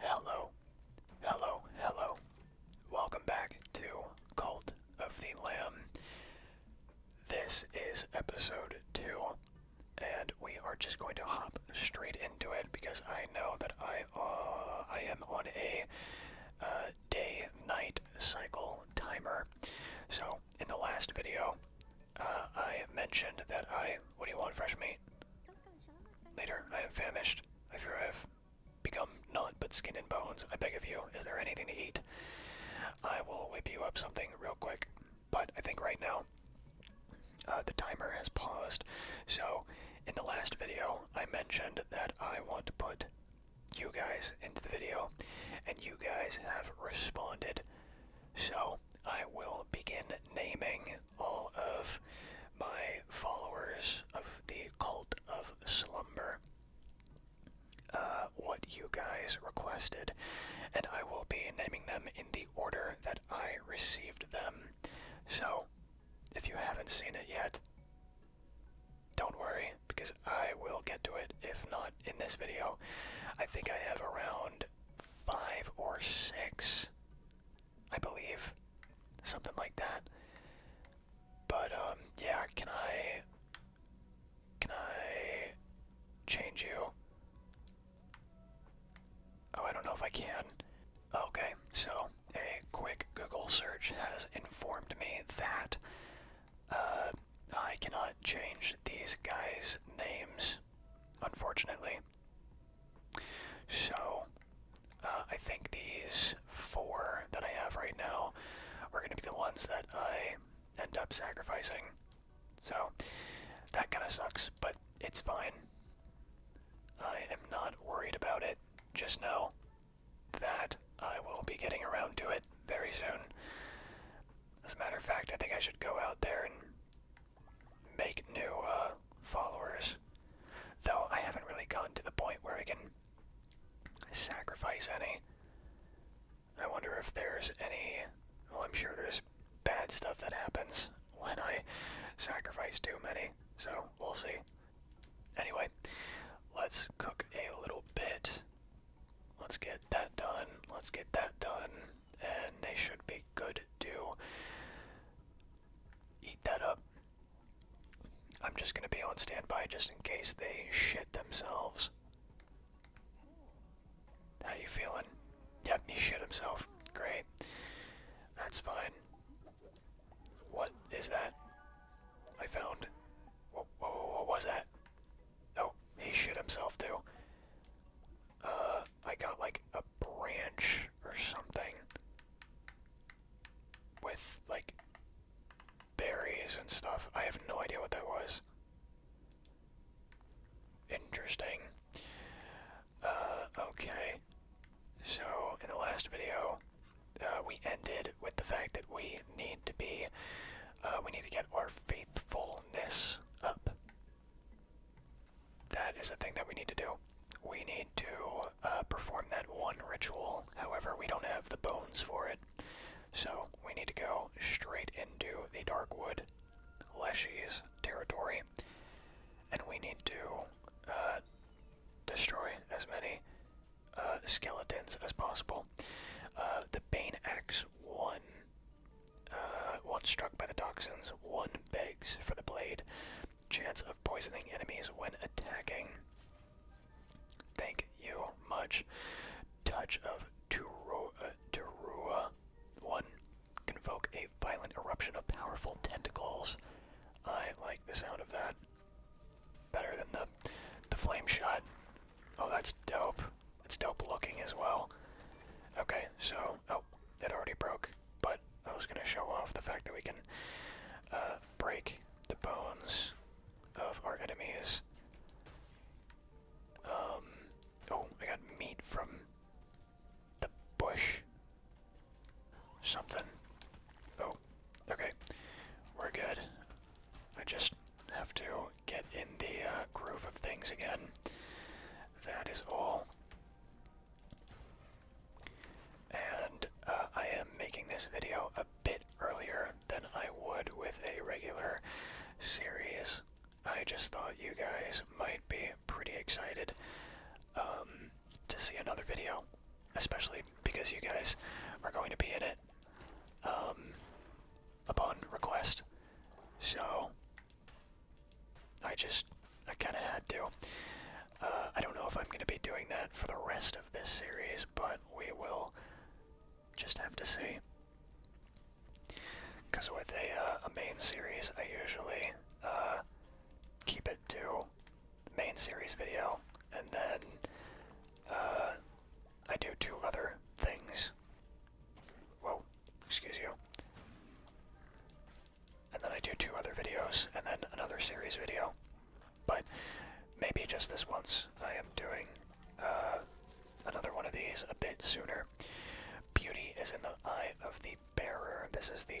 Hello, hello, hello. Welcome back to Cult of the Lamb. This is episode 2, and we are just going to hop straight into it because I know that I, uh, I am on a uh, day night cycle timer. So, in the last video, uh, I mentioned that I. What do you want, fresh meat? Later, I am famished. I fear I have become naught but skin and bones. I beg of you, is there anything to eat? I will whip you up something real quick. But I think right now, uh, the timer has paused. So, in the last video, I mentioned that I want to put you guys into the video, and you guys have responded. So, I will begin naming all of my followers of the Cult of Slumber. Uh, what you guys requested, and I will be naming them in the order that I received them. So, if you haven't seen it yet, don't worry, because I will get to it, if not in this video. I think I have around five or six, I believe, something like that. But um, yeah, can I, can I change you? Oh, I don't know if I can. Okay, so a quick Google search has informed me that uh, I cannot change these guys' names unfortunately. So, uh, I think these four that I have right now are going to be the ones that I end up sacrificing. So, that kind of sucks, but it's fine. I am not worried about it. Just know that I will be getting around to it very soon. As a matter of fact, I think I should go out there and make new uh, followers. Though I haven't really gotten to the point where I can sacrifice any. I wonder if there's any. Well, I'm sure there's bad stuff that happens when I sacrifice too many, so we'll see. Anyway, let's cook a little bit. Let's get that done. Let's get that done and they should be good to eat that up. I'm just gonna be on standby just in case they shit themselves. How you feeling? Yep, he shit himself. Great. That's fine. What is that? I found. Oh, what was that? Oh, he shit himself too. Uh, I got like a branch or something with like berries and stuff. I have no idea what that was. Interesting. Uh, okay. So, in the last video, uh, we ended with the fact that we need to be, uh, we need to get our faithfulness up. That is a thing that we need to do. We need to uh, perform that one ritual. However, we don't have the bones for it. So we need to go straight into the Darkwood Leshy's territory. And we need to uh, destroy as many uh, skeletons as possible. the Bane Axe 1 uh, once struck by the toxins, one begs for the blade. Chance of poisoning enemies when attacking. Thank you much. Touch of Terua. Uh, Terua. 1. invoke a violent eruption of powerful tentacles. I like the sound of that. Better than the, the flame shot. Oh, that's dope. It's dope looking as well. Okay, so, oh, it already broke, but I was going to show off the fact that we can uh, break the bones of our enemies. Um, oh, I got meat from the bush. Something. Oh, okay. We're good. I just have to get in the uh, groove of things again. That is all. And uh, I am making this video a bit earlier than I would with a regular series. I just thought you guys might be pretty excited um, to see another video, especially because you guys are going to be in it um, upon request. So, I just, I kind of had to. Uh, I don't know if I'm going to be doing that for the rest of this series, but we will just have to see. Because with a, uh, a main series, I usually uh, keep it to the main series video, and then I do two other things Whoa, excuse you. And then I do two other videos, and then another series video. But maybe just this once, I am doing uh, another one of these a bit sooner. Beauty is in the eye of the bearer. This is the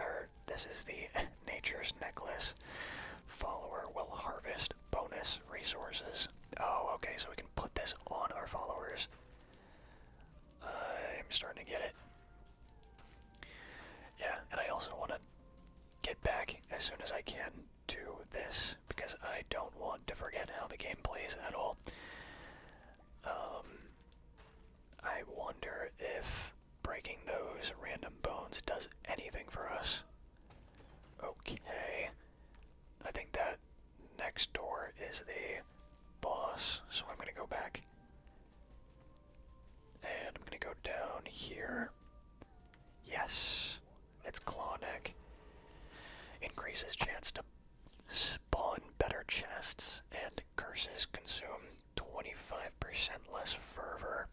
er, this is the nature's necklace. Follower will harvest bonus resources. Oh, okay, so we can put this on our followers. I'm starting to get it. Yeah, and I also want to get back as soon as I can to this because I don't want to forget how the game plays at all. Um, I wonder if breaking those random bones does anything for us. Okay. I think that next door is the boss, so I'm gonna go back. And I'm gonna go down here. Yes, it's claw Increases chance to spawn better chests, and curses consume 25% less fervor.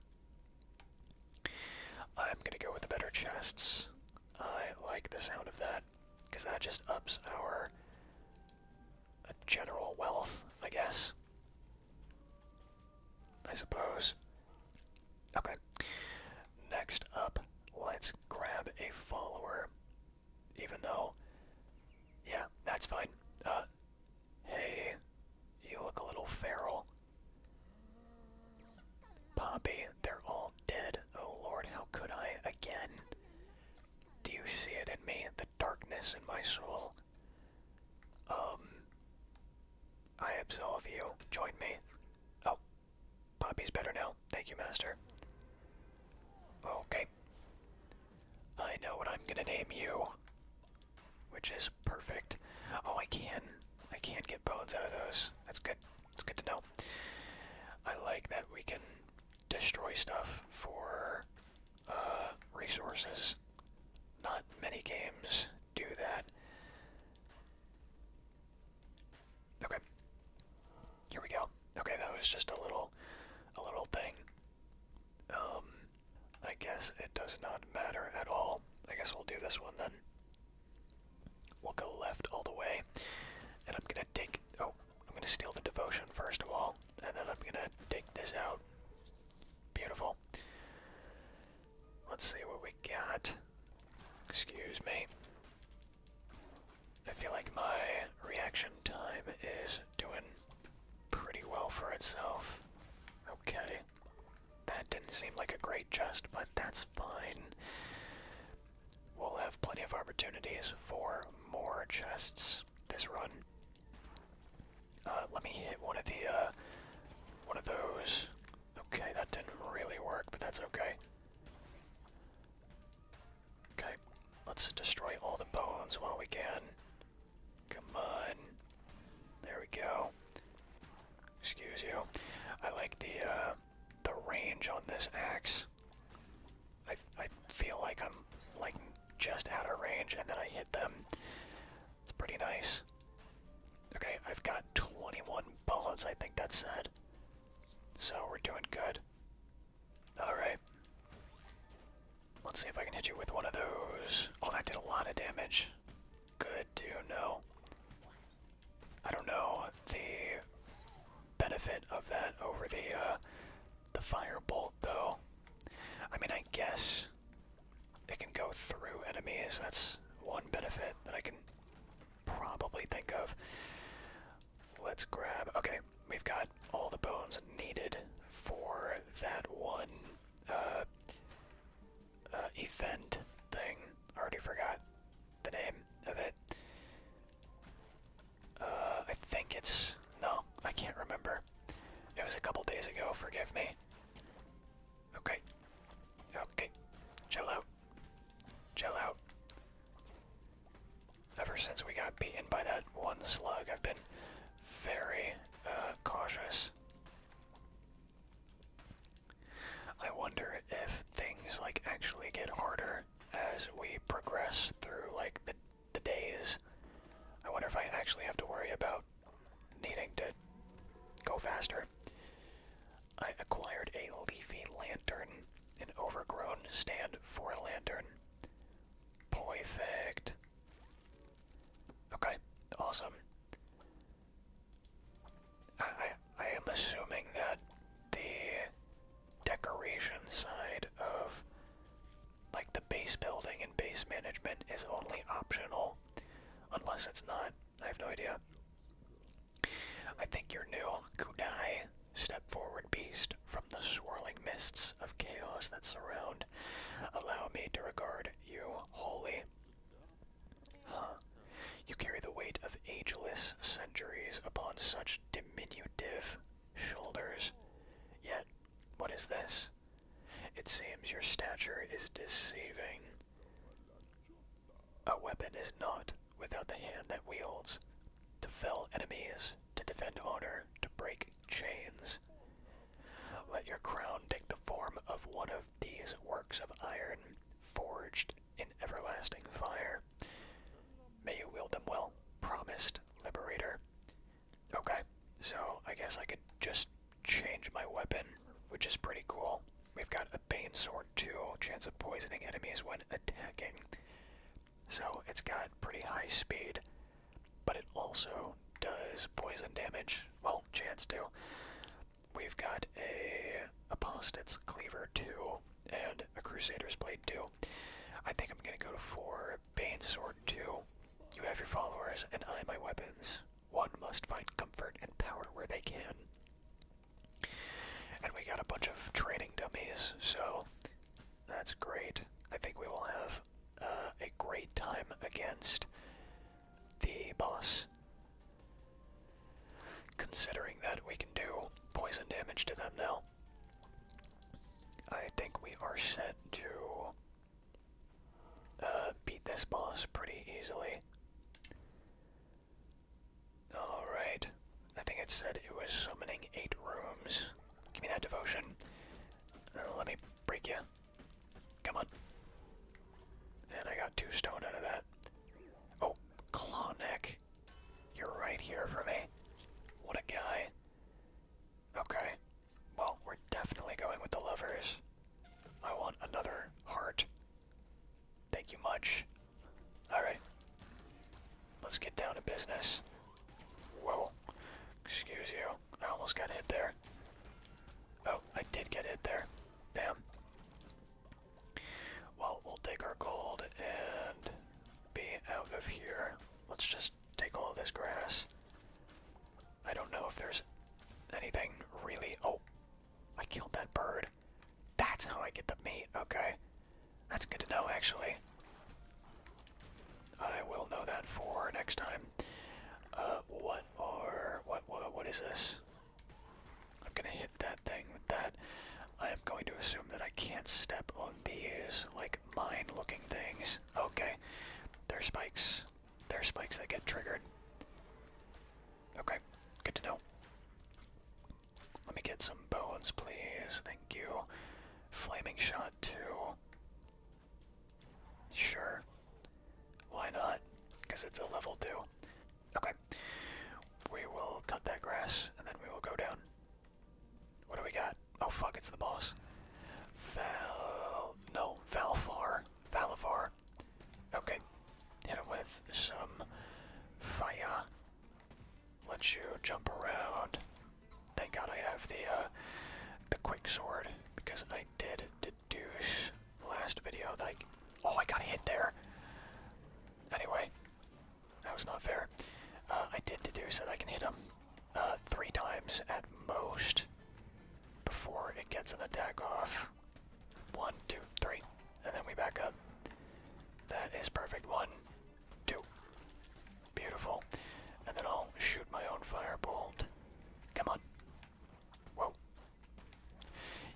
I'm gonna go with the better chests. I like the sound of that. Because that just ups our uh, general wealth, I guess. I suppose. Okay. Next up, let's grab a follower. Even though, yeah, that's fine. Uh, hey, you look a little feral. Poppy, they're all dead. Oh lord, how could I again? Do you see it in me? The darkness in my soul? Um. I absolve you. Join me. Oh. Bobby's better now. Thank you, Master. Okay. I know what I'm gonna name you. Which is perfect. Oh, I can. not I can't get bones out of those. That's good. That's good to know. I like that we can destroy stuff for uh, resources. Not many games do that. Okay. Here we go. Okay, that was just a little, a little thing. Um, I guess it does not matter at all. I guess we'll do this one then. We'll go left all the way, and I'm gonna take. Oh, I'm going to steal the devotion first of all, and then I'm going to take this out. Beautiful. Let's see what we got. Excuse me. I feel like my reaction time is doing pretty well for itself. Okay. That didn't seem like a great jest, but that's fine. We'll have plenty of opportunities for more chests this run. Uh, let me hit one of the, uh, one of those. Okay, that didn't really work, but that's okay. Okay, let's destroy all the bones while we can. Come on. There we go. Excuse you. I like the, uh, the range on this axe. I, I feel like I'm like just out of range and then I hit them. It's pretty nice. Okay, I've got 21 bullets, I think that's it. So we're doing good. Alright. Let's see if I can hit you with one of those. Oh, that did a lot of damage. Good to know. I don't know. The benefit of that over the uh, the firebolt, though. I mean, I guess it can go through enemies. That's one benefit that I can probably think of. Let's grab. Okay, we've got all the bones needed for that one uh, uh event thing. already forgot the name of it. Uh, I think it's. No, I can't remember. It was a couple days ago, forgive me. Okay. Okay. Chill out. Chill out. Ever since we got beaten by that one slug, I've been very uh, cautious. I wonder if things like actually get harder as we progress through like the, the days. I wonder if I actually have to worry about needing to go faster. I acquired a leafy lantern, an overgrown stand for a lantern. Perfect. Okay, awesome. I, I, am assuming that the decoration side of like the base building and base management is only optional unless it's not. I have no idea. I think your new Kudai step forward beast from the swirling mists of chaos that surround. Allow me to regard you wholly. Huh. You carry the weight of ageless centuries upon such diminutive shoulders. Yet, what is this? It seems your stature is deceiving. A weapon is not without the hand that wields. To fell enemies, to defend honor, to break chains. Let your crown take the form of one of these works of iron, forged in everlasting fire. May you wield them well, promised Liberator. Okay, so I guess I could just change my weapon, which is pretty cool. We've got a Bane Sword too, chance of poisoning enemies when attacking. So it's got pretty high speed, but it also does poison damage. Well, chance to. We've got a Apostate's Cleaver too, and a Crusader's Blade too. I think I'm gonna go for Banesword 2. You have your followers, and I my weapons. One must find comfort and power where they can. And we got a bunch of training dummies, so that's great. I think we will have uh, a great time against the boss. Considering that we can do poison damage to them now. I think we are set to uh, beat this boss pretty easily. Alright. I think it said it was summoning eight rooms. Give me that devotion. Uh, let me break you. Come on. And I got two stone out of that. Oh, Claw Neck. You're right here for me. What a guy. Okay. Well, we're definitely going with the lovers. I want another heart. Thank you much. Alright. Let's get down to business. Whoa. Excuse you. I almost got hit there. Oh, I did get hit there. Damn. Well, we'll take our gold and be out of here let's just take all this grass. I don't know if there's anything really. Oh, I killed that bird. That's how I get the meat. Okay. That's good to know, actually. I will know that for next time. Uh, what are. What, what, what is this? I'm gonna hit that thing with that. I am going to assume that I can't step on these like mine-looking things. Okay, they're spikes. They're spikes that get triggered. Okay, good to know. Let me get some bones, please. Thank you. Flaming shot, too. Sure. Why not? Because it's a level 2. Okay. We will cut that grass, and then we will go down. What do we got? Oh fuck, it's the boss. Val no, Valfar. Valifar. Okay. Hit it with some fire. Let you jump around. Thank God I have the uh, the quick sword because I did deduce last video that I oh I got hit there. Anyway, that was not fair. Uh, I did deduce that I can hit him uh, three times at most before it gets an attack off. One, two, three. And then we back up. That is perfect. One, two. Beautiful. And then I'll shoot my own firebolt. Come on. Whoa.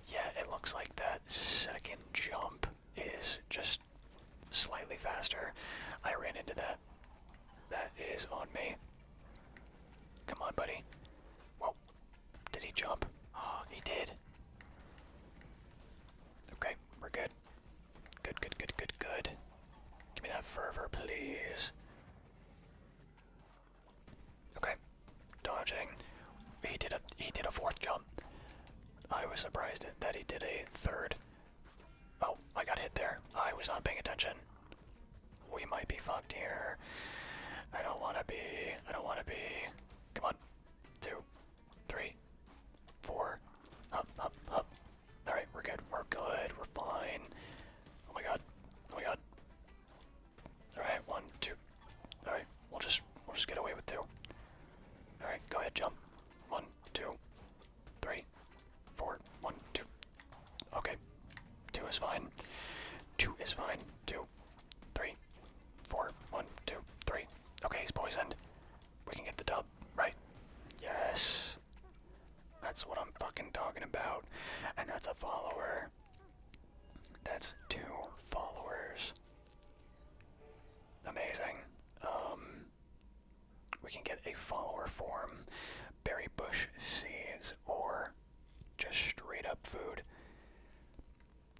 Yeah, it looks like that second jump is just slightly faster. I ran into that. That is on me. Come on, buddy. Whoa. Did he jump? Oh, he did. Okay, we're good. Good, good, good, good, good. Give me that fervor, please. Okay. Dodging. He did a he did a fourth jump. I was surprised that he did a third. Oh, I got hit there. I was not paying attention. We might be fucked here. I don't want to be. I don't want to be. Come on. Two, three, four. Up, up, up. Alright, we're good. We're good. We're fine. Oh my god. Oh my god. Alright, one, two. Alright, we'll just we'll just get away with two. Alright, go ahead, jump. One, two, three, four, one, two. Okay, two is fine. Two is fine. Two, three, four, one, two, three. Okay, he's poisoned. We can get the dub, right? Yes. That's what I'm fucking talking about. And that's a follower. That's two followers. Amazing. Um we can get a follower form, berry bush seeds, or just straight up food.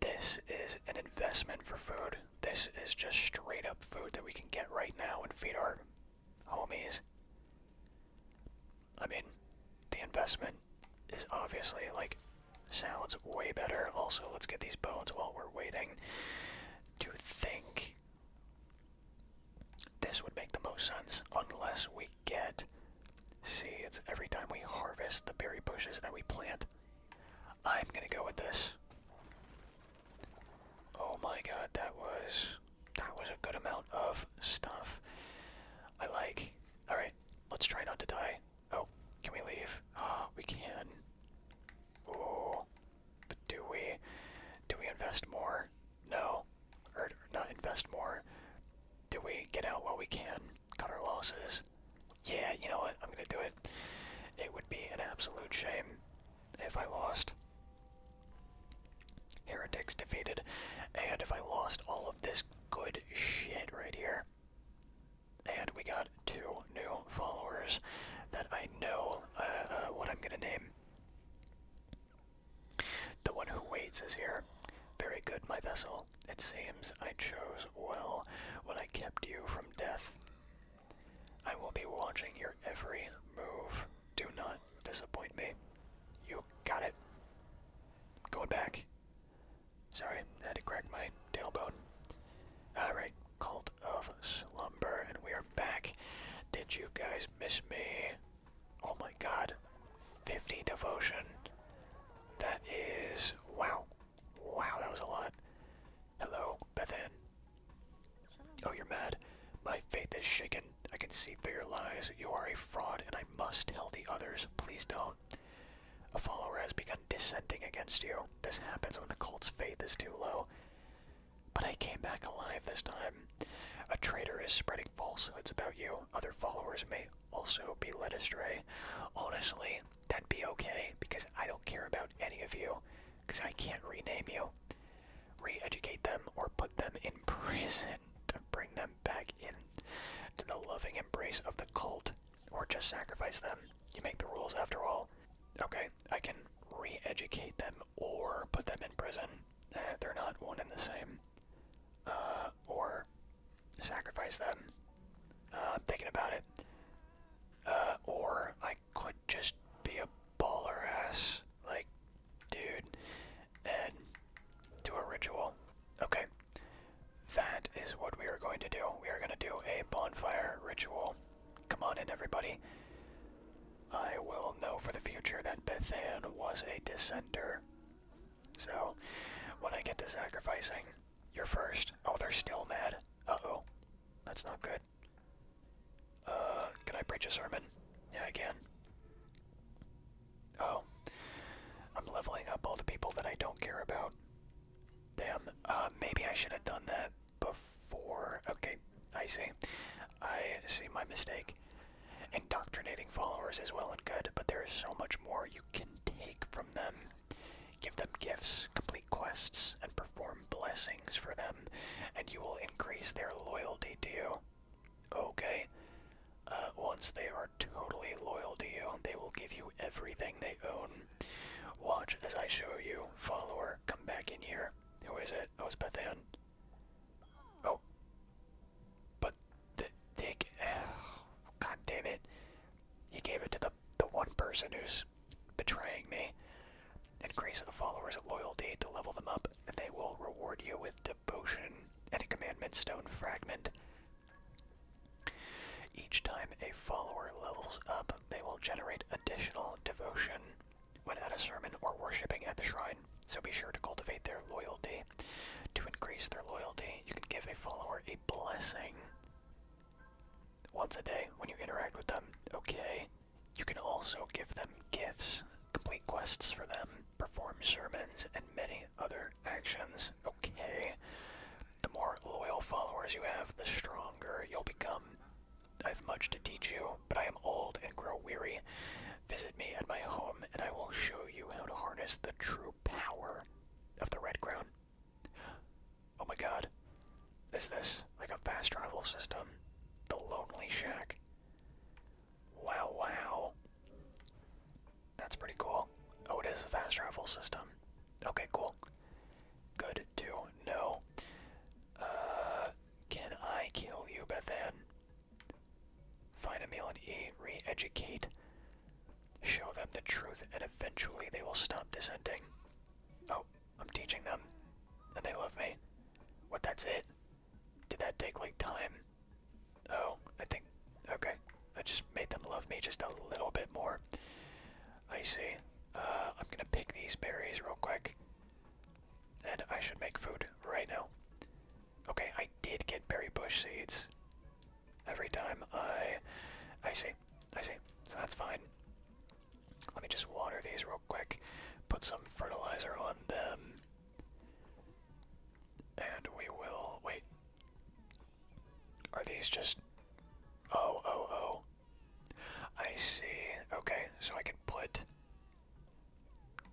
This is an investment for food. This is just straight up food that we can get right now and feed our homies. I mean, the investment is obviously like sounds way better. Also, let's get these bones while we're waiting. To think this would make the most sense unless we get seeds every time we harvest the berry bushes that we plant. I'm gonna go with this. Oh my god, that was that was a good amount of stuff. I like. Alright, let's try not to die. Oh, can we leave? Ah, we can. But do we do we invest more? No. Or not invest more. Do we get out while we can? Cut our losses? Yeah, you know what? I'm gonna do it. It would be an absolute shame if I lost. Heretics defeated. And if I lost all of this good shit right here. And we got two new followers that I I uh, uh, what I'm gonna name. The one who waits is here. Very good, my vessel. It seems I chose well when I kept you from death. I will be watching your every move. Do not disappoint me. You got it. Going back. Sorry, had to crack my tailbone. Alright, cold of Slumber, and we are back. Did you guys miss me? Oh my god. 50 devotion. That is. Wow. Wow, that was a lot. Hello, Bethan. Oh, you're mad. My faith is shaken. I can see through your lies. You are a fraud, and I must tell the others. Please don't. A follower has begun dissenting against you. This happens when the cult's faith is too low. But I came back alive this time. A traitor is spreading falsehoods about you. Other followers may also be led astray. Honestly, that'd be okay because I don't care about any of you because I can't rename you. Re educate them or put them in prison to bring them back in to the loving embrace of the cult or just sacrifice them. You make the rules after all. Okay, I can re educate them or put them in prison. Eh, they're not one and the same. Uh, or sacrifice them. Uh, I'm thinking about it. Uh, or I could just be a baller ass, like, dude, and do a ritual. Okay, that is what we are going to do. We are going to do a bonfire ritual. Come on in, everybody. I will know for the future that Bethan was a dissenter. So, when I get to sacrificing, you're first. Oh, they're still mad. Uh-oh. That's not good. Uh, can I preach a sermon? Yeah, I can. Oh. I'm leveling up all the people that I don't care about. Damn, uh, maybe I should have done that before. Okay, I see. I see my mistake. Indoctrinating followers is well and good, but there is so much more you can take from them. Give them gifts, complete quests, and perform blessings for them, and you will increase their loyalty to you. Okay. Uh, once they are totally loyal to you, they will give you everything they own. Watch as I show you, follower, come back in here. Who is it? Oh, it's Bethan. Oh. But the dick! God damn it. He gave it to the, the one person who's betraying me. Increase the followers' loyalty to level them up, and they will reward you with devotion and a commandment stone fragment. Each time a follower levels up, they will generate additional devotion when at a sermon or worshiping at the shrine, so be sure to cultivate their loyalty. To increase their loyalty, you can give a follower a blessing once a day when you interact with them. Okay. You can also give them gifts, complete quests for them, perform sermons, and many other actions. Okay. The more loyal followers you have, the stronger you'll become. I have much to teach you, but I am old and grow weary. Visit me at my home, and I will show you how to harness the true power of the Red Crown. Oh my god. Is this like a fast travel system? The Lonely Shack. Wow, wow. That's pretty cool. Oh, it is a fast travel system. Okay, cool. Good to know. Uh, can I kill you, then? Find a meal and eat, re educate, show them the truth, and eventually they will stop dissenting. Oh, I'm teaching them, and they love me. What, that's it? Did that take like time? Oh, I think. Okay. I just made them love me just a little bit more. I see. Uh, I'm gonna pick these berries real quick. And I should make food right now. Okay, I did get berry bush seeds. Every time I... I see. I see. So that's fine. Let me just water these real quick. Put some fertilizer on them. And we will... Wait. Are these just... Oh, oh, oh. I see. Okay, so I can put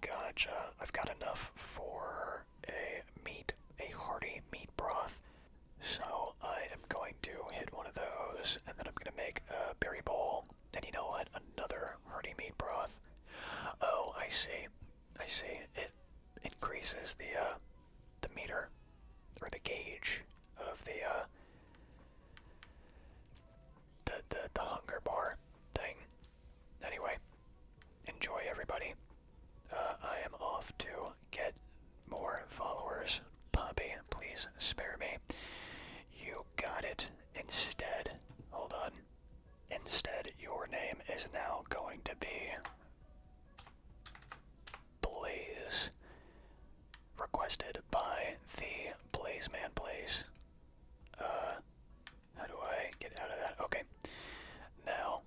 Gotcha. I've got enough for a meat, a hearty meat broth. So I am going to hit one of those, and then I'm going to make a berry bowl. And you know what? Another hearty meat broth. Oh, I see. I see. It increases the uh, the meter or the gauge of the uh, the the the hunger bar thing. Anyway, enjoy everybody. Uh, I am off to get more followers. Poppy, please spare me. You got it. Instead, hold on. Instead, your name is now going to be Blaze, requested by the Blaze Man Blaze. Uh, how do I get out of that? Okay. Now,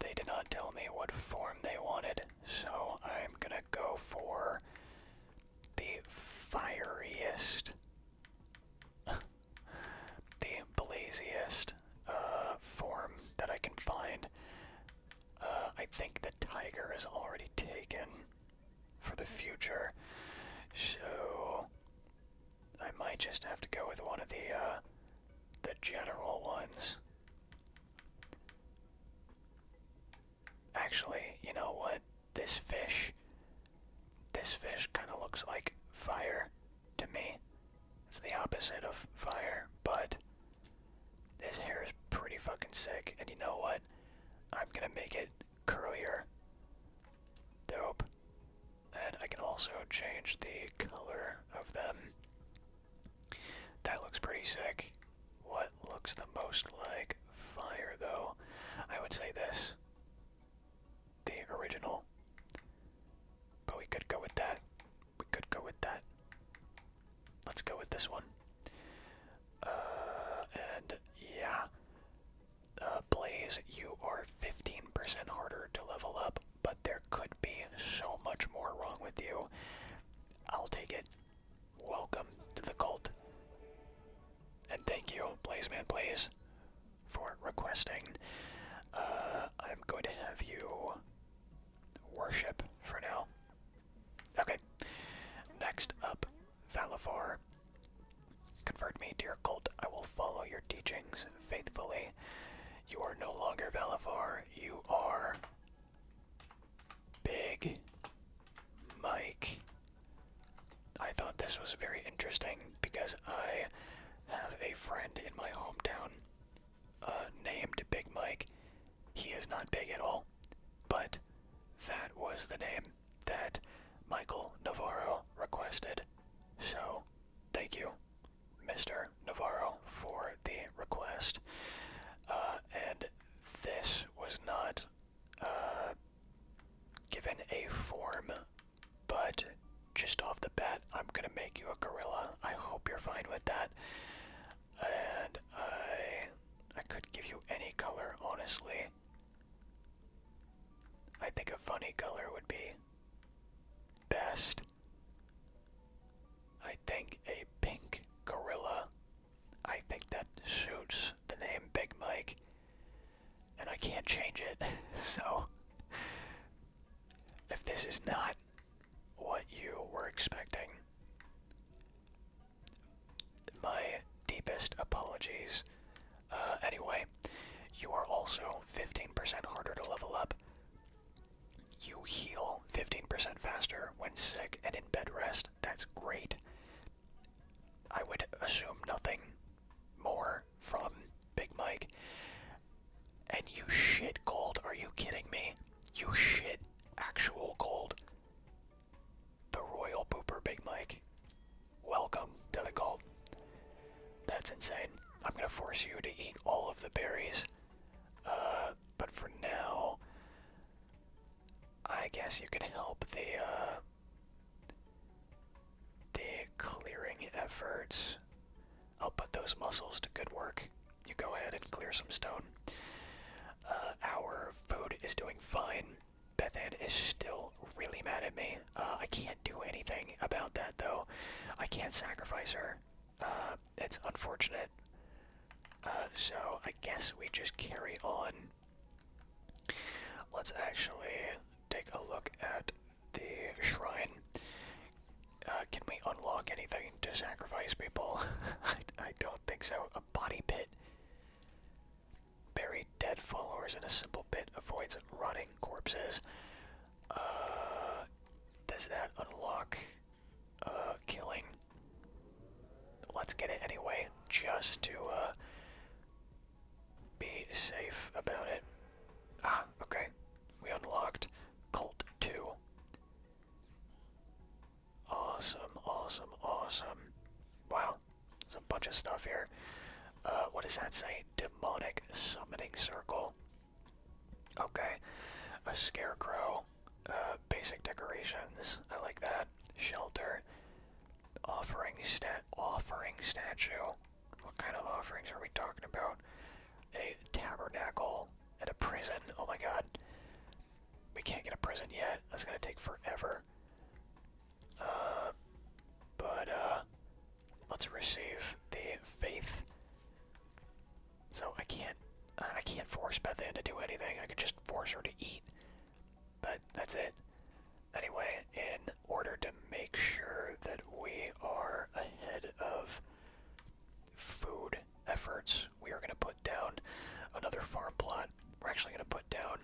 they did not tell me what form they wanted, so I'm gonna go for the fieriest, the blaziest uh, form that I can find. Uh, I think the tiger is already taken for the future. So I might just have to go with one of the uh, the general ones. Actually, you know what? This fish, this fish kind of looks like fire to me. It's the opposite of fire, but this hair is pretty fucking sick. And you know what? I'm gonna make it curlier. Dope. And I can also change the color of them. That looks pretty sick. What looks the most like fire, though? I would say this. The original. But we could go with that. We could go with that. Let's go with this one. Uh, and yeah. Uh, Blaze, you are 15% harder to level up, but there could be so much more wrong with you. I'll take it. Welcome to the cult. And thank you, Blazeman Blaze, for requesting. Uh, I'm going to have you worship for now. Okay. Next up Valifar. Convert me dear your cult. I will follow your teachings faithfully. You are no longer Valifar. You are Big Mike. I thought this was very interesting because I have a friend in my hometown uh, named Big Mike. He is not big at all, but that was the name that Michael Navarro requested. So, thank you, Mr. Navarro, for the request. Uh, and this was not uh, given a form, but just off the bat, I'm gonna make you a gorilla. I hope you're fine with that. And I, I could give you any color, honestly. I think a funny color would be best. I think a pink gorilla. I think that suits the name Big Mike. And I can't change it. so, if this is not what you were expecting, my deepest apologies. Uh, anyway, you are also 15% harder to level up. You heal 15% faster when sick and in bed rest. That's great. I would assume nothing more from Big Mike. And you shit gold? Are you kidding me? You shit actual gold. The Royal Pooper Big Mike. Welcome to the cult. That's insane. I'm gonna force you to eat all of the berries. Uh, but for now, I guess you can help the uh, the clearing efforts. I'll put those muscles to good work. You go ahead and clear some stone. Uh, our food is doing fine. Bethan is still really mad at me. Uh, I can't do anything about that though. I can't sacrifice her. Uh, it's unfortunate. Uh, so I guess we just carry on. Let's actually take a look at the shrine. can we unlock anything to sacrifice people? I don't think so. A body pit. Buried dead followers in a simple pit avoids rotting corpses. Uh, does that unlock uh, killing? Let's get it anyway, just to uh, be safe about it. Ah, okay. We unlocked Cult 2. Awesome, awesome, awesome. Wow, there's a bunch of stuff here. Uh, what does that say? Demonic summoning circle. Okay. A scarecrow. Uh, basic decorations. I like that. Shelter. Offering stat offering statue. What kind of offerings are we talking about? A tabernacle and a prison. Oh my god. We can't get a prison yet. That's gonna take forever. Uh, but uh, let's receive the faith. So I can't, I can't force Bethan to do anything. I could just force her to eat, but that's it. Anyway, in order to make sure that we are ahead of food efforts, we are going to put down another farm plot. We're actually going to put down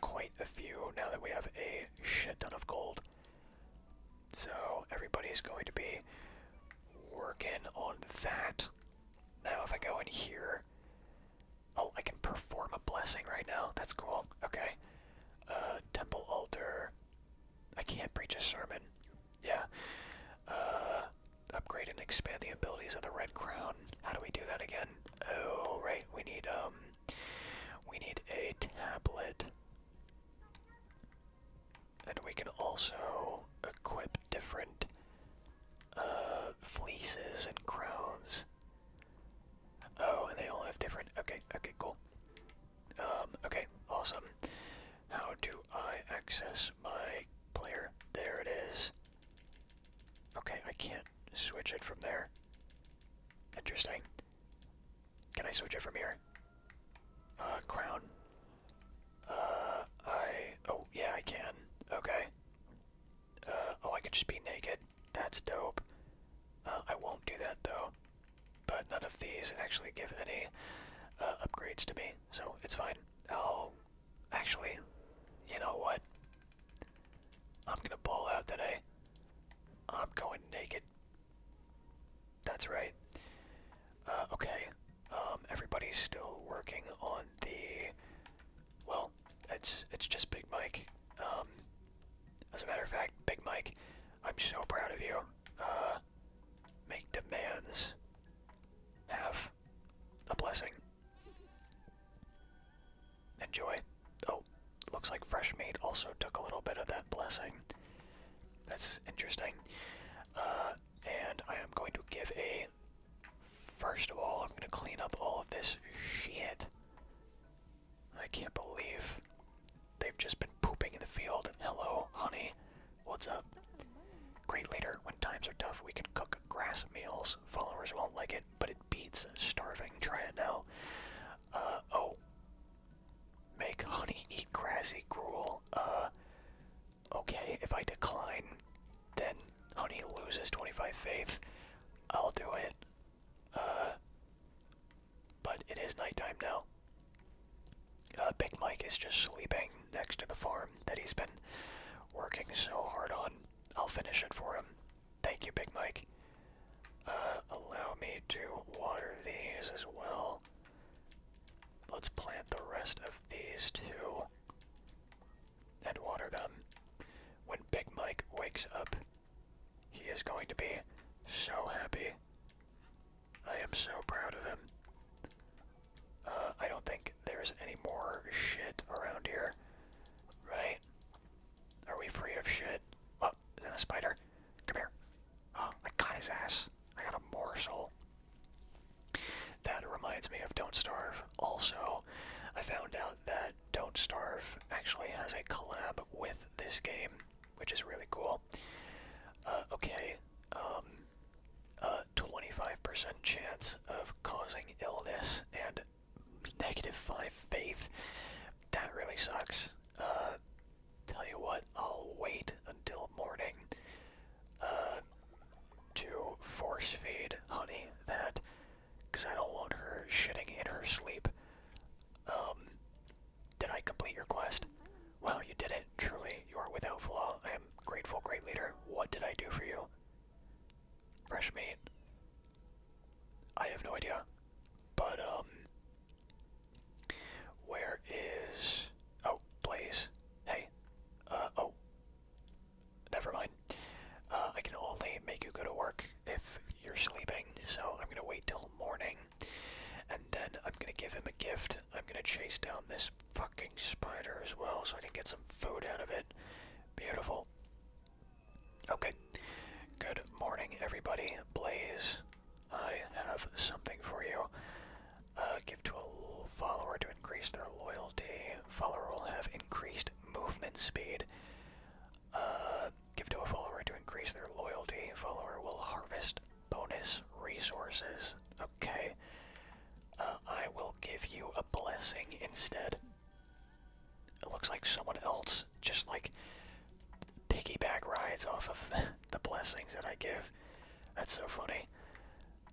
quite a few now that we have a shit ton of gold. So everybody's going to be working on that. Now if I go in here, oh, I can perform a blessing right now. That's cool. Okay. Uh, temple altar. I can't preach a sermon. Yeah. Uh, upgrade and expand the abilities of the red crown. How do we do that again? Oh, right. We need um we need a tablet. And we can also equip different uh, fleeces and crowns. Oh, and they all have different. Okay, okay, cool. Um, okay, awesome. How do I access my player? There it is. Okay, I can't switch it from there. Interesting. Can I switch it from here? Uh, crown. Uh, I... Oh, yeah, I can. Okay. Uh, oh, I could just be naked. That's dope. Uh, I won't do that, though. But none of these actually give any uh, upgrades to me, so it's fine. i Actually, you know what? I'm gonna ball out today. I'm going naked. That's right. Uh, okay. Um, everybody's still working on the. Well, it's it's just Big Mike. Um, as a matter of fact, Big Mike, I'm so proud of you. Uh, make demands. Have a blessing. Enjoy. Oh, looks like Fresh Meat also took a little bit of that blessing. That's interesting. Uh, and I am going to give a. First of all, I'm going to clean up all of this shit. I can't believe they've just been pooping in the field. Hello, honey. What's up? Great Later. When times are tough, we can cook grass meals. Followers won't like it but it beats starving. Try it now. Uh, oh. Make honey eat grassy gruel. Uh, okay, if I decline, then honey loses 25 faith. I'll do it. Uh, but it is nighttime now. Big Mike is just sleeping next to the farm that he's been working so hard on. I'll finish it for him. Thank you, Big Mike. Uh, allow me to water these as well. Let's plant the rest of these two and water them. When Big Mike wakes up, he is going to be so happy. I am so proud of him. Uh, I don't think there's any more shit around here, right? Are we free of shit? Oh, is that a spider? Come here. Oh, I got his ass. I got a morsel. That reminds me of Don't Starve. Also, I found out that Don't Starve actually has a collab with this game, which is really cool. Uh, okay, um, a uh, 25% chance of causing illness and negative 5 faith. That really sucks. Uh, tell you what, I'll wait until morning uh, to force feed Honey that, because I don't want her shitting in her sleep. Um, did I complete your quest? Well, you did it. Truly, you are without flaw. I am grateful, great leader. What did I do for you? Fresh meat. I have no idea. But, um. Where is. Oh, Blaze. Hey. Uh, oh. Never mind. Uh, I can only make you go to work if you're sleeping, so I'm gonna wait till morning. And then I'm gonna give him a gift. I'm gonna chase down this fucking spider as well so I can get some food out of it. Beautiful. Okay. Good morning, everybody. Blaze, I have something for you. Uh, give to a follower to increase their loyalty. Follower will have increased movement speed. Uh, give to a follower to increase their loyalty. Follower will harvest bonus resources. Okay. Uh, I will give you a blessing instead it looks like someone else just like piggyback rides off of the blessings that I give. That's so funny.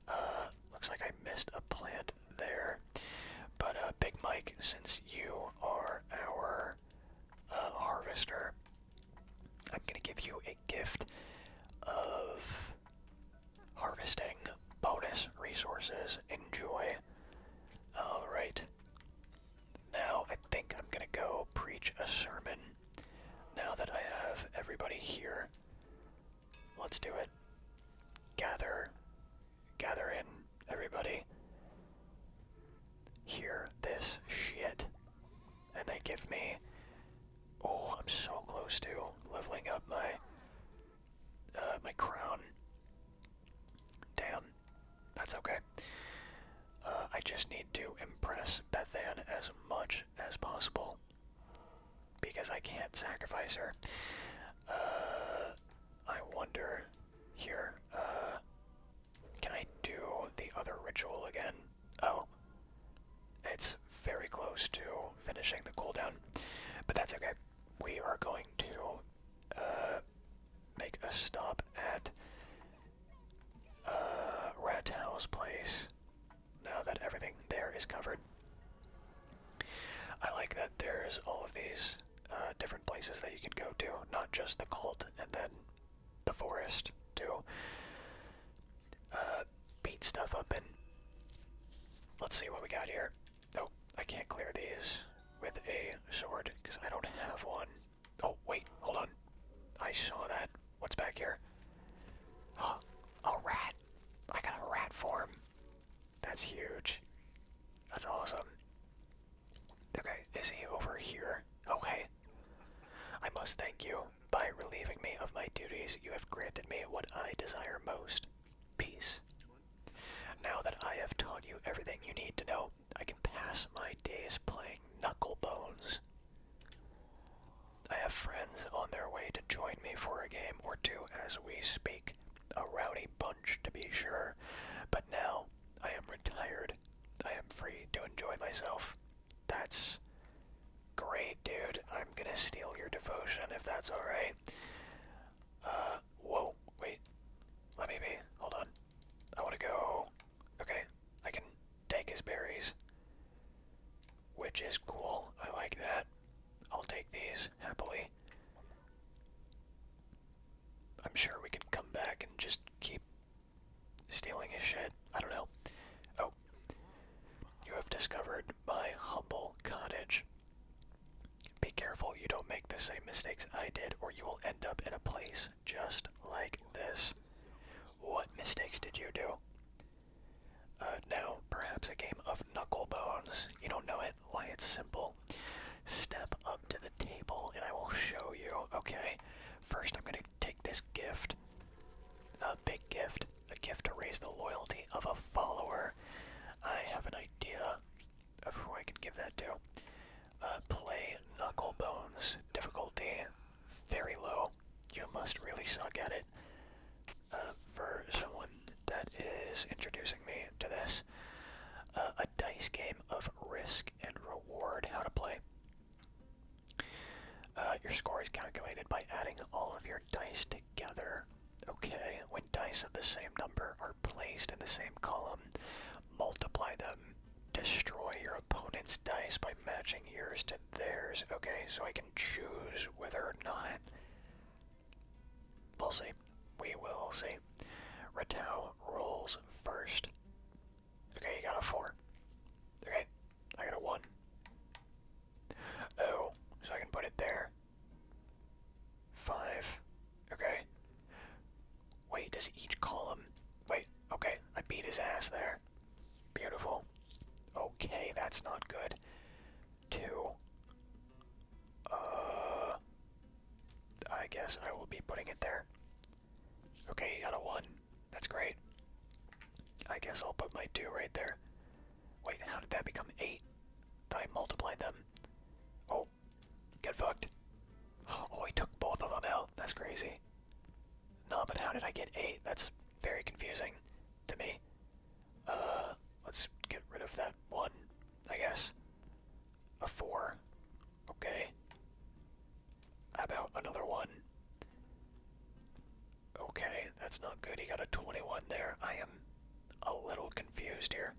Uh, looks like I missed a plant there. But uh, Big Mike, since you are our uh, harvester, I'm gonna give you a gift of harvesting bonus resources. Enjoy. All right. Now I think I'm gonna go preach a sermon. Now that I have everybody here, let's do it. Gather, gather in, everybody. Hear this shit. And they give me. Oh, I'm so close to leveling up my uh, my crown. Damn. That's okay. Uh, I just need to impress Bethan as much as possible because I can't sacrifice her. Uh, I wonder here. Uh, can I do the other ritual again? Oh, it's very close to finishing the cooldown, but that's okay. We are going to uh, make a stop at Rat uh, Ratow's place. Now that everything there is covered, I like that there's all of these uh, different places that you can go to, not just the cult and then the forest to uh, beat stuff up. And let's see what we got here. Nope, I can't clear these with a sword because I don't have one. Oh, wait, hold on. I saw that. What's back here? Oh, a rat. I got a rat form. That's huge. That's awesome. Okay, is he over here? Okay. I must thank you. By relieving me of my duties, you have granted me what I desire most peace. Now that I have taught you everything you need to know, I can pass my days playing knucklebones. I have friends on their way to join me for a game or two as we speak. A rowdy bunch, to be sure. But now, I am retired. I am free to enjoy myself. That's great, dude. I'm gonna steal your devotion if that's alright. Uh, whoa, wait. Let me be. Hold on. I want to go. Okay, I can take his berries, which is cool. I like that. I'll take these happily. I'm sure we can come back and just keep stealing his shit. I don't know. Oh. You have discovered my humble cottage. Be careful you don't make the same mistakes I did, or you will end up in a place just like this. What mistakes did you do? Uh, now, perhaps a game of knucklebones. You don't know it? Why, it's simple. Step up to the table and I will show you. Okay, first I'm going to take this gift. A big gift. A gift to raise the loyalty of a follower. I have an idea of who I can give that to. Uh, play Knuckle Difficulty very low. You must really suck at it. Uh, for someone that is introducing me to this, uh, a dice game of risk and reward. How to play. Uh, your score is calculated by adding all of your dice together. Okay, when dice of the same number are placed in the same column, multiply them, destroy your opponent's dice by matching yours to theirs. Okay, so I can choose whether or not. We'll see. We will see. Ratao rolls first. Okay, you got a four. Okay, I got a one. Oh, so I can put it there. Five. Okay. Wait, does each column... Wait, okay, I beat his ass there. Beautiful. Okay, that's not good. Two. Uh... I guess I will be putting it there. Okay, he got a one. That's great. I guess I'll put my two right there. Wait, how did that become eight? That I multiplied them. Oh, Get fucked. Oh, he took both of them out. That's crazy. No, but how did I get eight? That's very confusing to me. Uh, let's get rid of that one, I guess. A four. Okay. about another one? Okay, that's not good. He got a 21 there. I am a little confused here.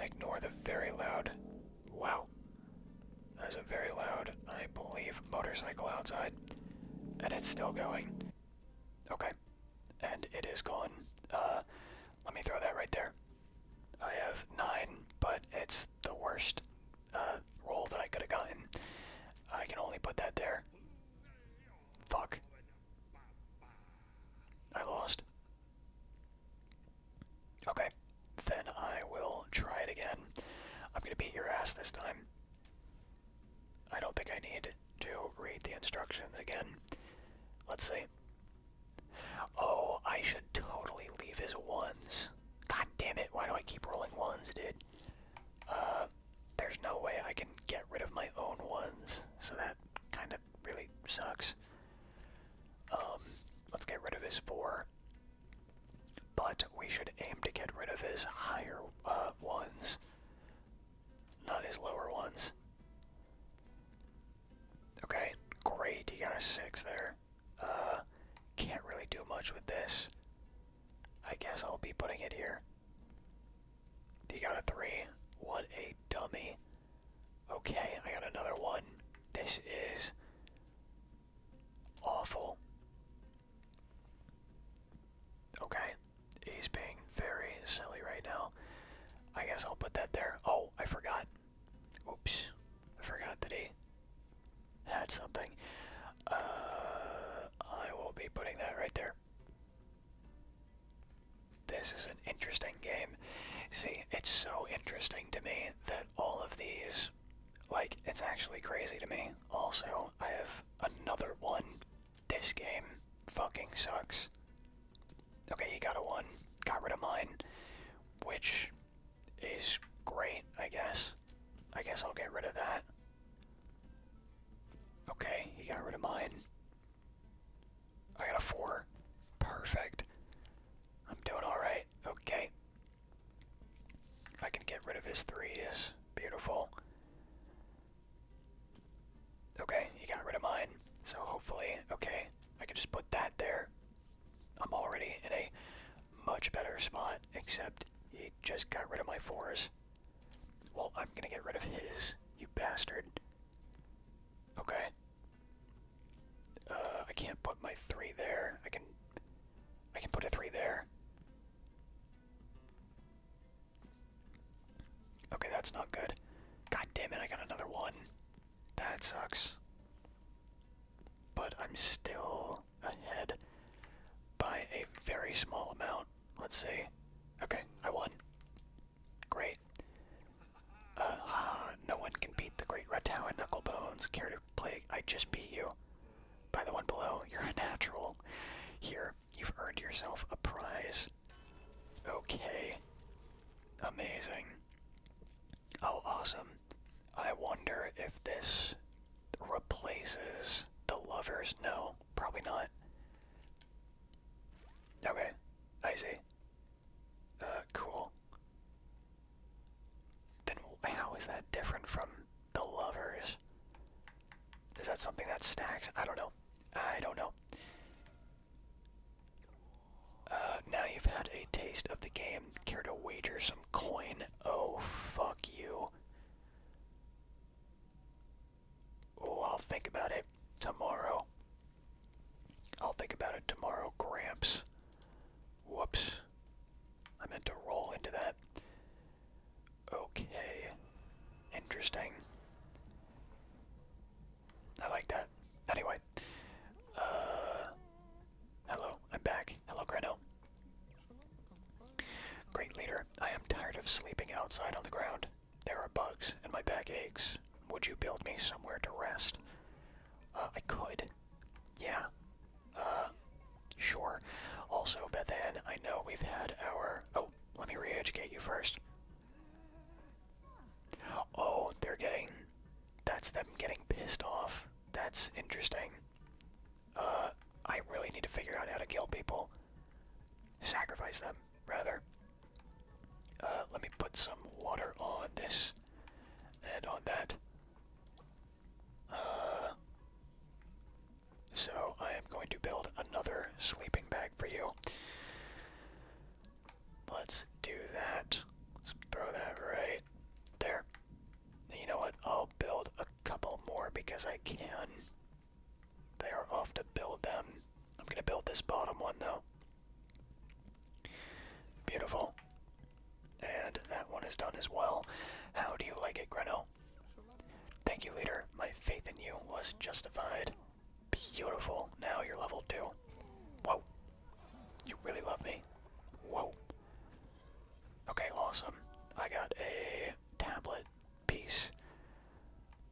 Ignore the very loud. Wow. There's a very loud, I believe, motorcycle outside. And it's still going. Okay. And it is gone. Uh, let me throw that right there. I have nine, but it's the worst uh, roll that I could have gotten. I can only put that there. Fuck. I lost. Okay, then I will try it again. I'm gonna beat your ass this time. I don't think I need to read the instructions again. Let's see. Oh, I should totally leave his ones. God damn it, why do I keep rolling ones, dude? Uh, there's no way I can get rid of my own ones, so that kind of really sucks. Um, let's get rid of his four. But we should aim to get rid of his higher uh, ones, not his lower ones. Okay, great. He got a six there. Uh, can't really do much with this. I guess I'll be putting it here. He got a three. What a dummy. Okay, I got another one. This is awful. Okay, he's being very silly right now. I guess I'll put that there. Oh, I forgot. Oops, forgot that he had something. Uh, I will be putting that right there this is an interesting game. See, it's so interesting to me that all of these, like, it's actually crazy to me. Also, I have another one. This game fucking sucks. Okay, he got a one. Got rid of mine. Which is great, I guess. I guess I'll get rid of that. Okay, he got rid of mine. I got a four. Perfect. I'm doing alright. Okay. I can get rid of his threes. Beautiful. Okay, he got rid of mine. So hopefully, okay, I can just put that there. I'm already in a much better spot, except he just got rid of my fours. Well, I'm gonna get rid of his, you bastard. Okay. Uh, I can't put my three there. I can, I can put a three there. Okay, that's not good. God damn it! I got another one. That sucks. But I'm still ahead by a very small amount. Let's see. Okay, I won. Great. Uh no one can beat the great Ratau and Knucklebones. Care to play? I just beat you. By the one below, you're a natural. Here, you've earned yourself a prize. Okay. Amazing. Oh, awesome. I wonder if this replaces the lovers. No, probably not. Okay, I see. Uh, cool. Then how is that different from the lovers? Is that something that stacks? I don't know. I don't know. Uh, now you've had a taste of the game. Care to wager some coin? Oh, fuck you. Oh, I'll think about it tomorrow. I'll think about it tomorrow, Gramps. Whoops. I meant to roll into that. Okay. Interesting. I like that. Anyway. Uh, hello, I'm back. Hello, Greno. Great leader, I am tired of sleeping outside on the ground. There are bugs, and my back aches. Would you build me somewhere to rest? Uh, I could. Yeah. Uh, sure. Also, but then I know we've had our. Oh, let me re-educate you first. Oh, they're getting. That's them getting pissed off. That's interesting. Uh, I really need to figure out how to kill people. Sacrifice them, rather. Uh, let me put some water on this and on that. Uh, so I am going to build another sleeping bag for you. Let's do that. Let's throw that right there. And you know what? I'll build a couple more because I can. They are off to build them. I'm going to build this bottom one though. Beautiful. And that one is done as well. How do you like it, Greno? Thank you, leader. My faith in you was justified. Beautiful. Now you're level two. Whoa. You really love me. Whoa. Okay, awesome. I got a tablet piece.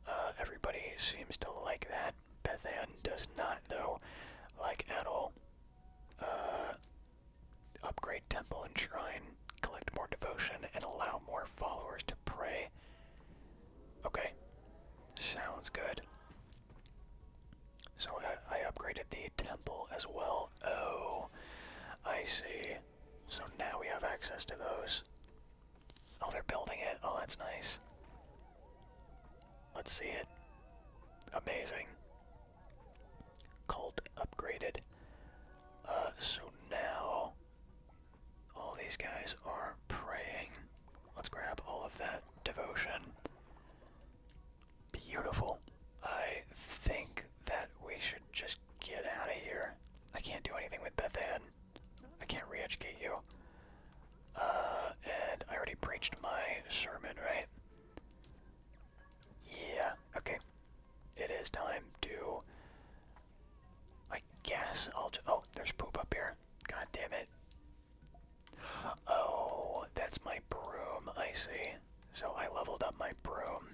Uh, everybody seems to like that. Bethan does not, though, like at all. Uh, upgrade temple and shrine, collect more devotion, and allow more followers to pray. Okay, sounds good. So I, I upgraded the temple as well. Oh, I see. So now we have access to those. Oh, they're building it. Oh, that's nice. Let's see it. Amazing. Cult upgraded. Uh, so now all these guys are praying. Let's grab all of that devotion. Beautiful. I think that we should just get out of here. I can't do anything with Bethan. I can't re educate you. Uh, and I already preached my sermon, right? Yeah, okay. It is time to. I guess I'll Oh, there's poop up here. God damn it. Oh, that's my broom. I see. So I leveled up my broom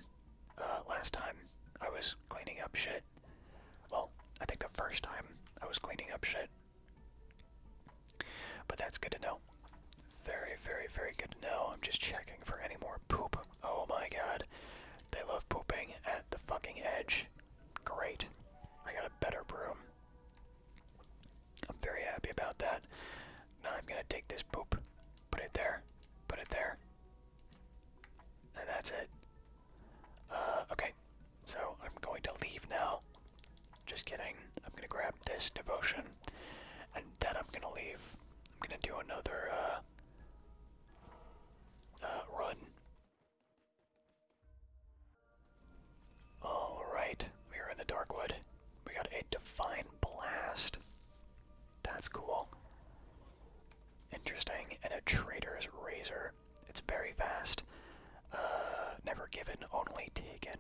uh, last time I was cleaning up shit. Well, I think the first time I was cleaning up shit. But that's good to know. Very, very, very good to know. I'm just checking for any more poop. Oh my god. They love pooping at the fucking edge. Great. I got a better broom. I'm very happy about that. Now I'm gonna take this poop, put it there, put it there, and that's it. Uh, okay, so I'm going to leave now. Just kidding. I'm gonna grab this devotion, and then I'm gonna leave. I'm gonna do another uh, uh run. All right, we are in the Darkwood. We got a divine blast. That's cool. Interesting, and a traitor's razor. It's very fast. Uh, never given, only taken.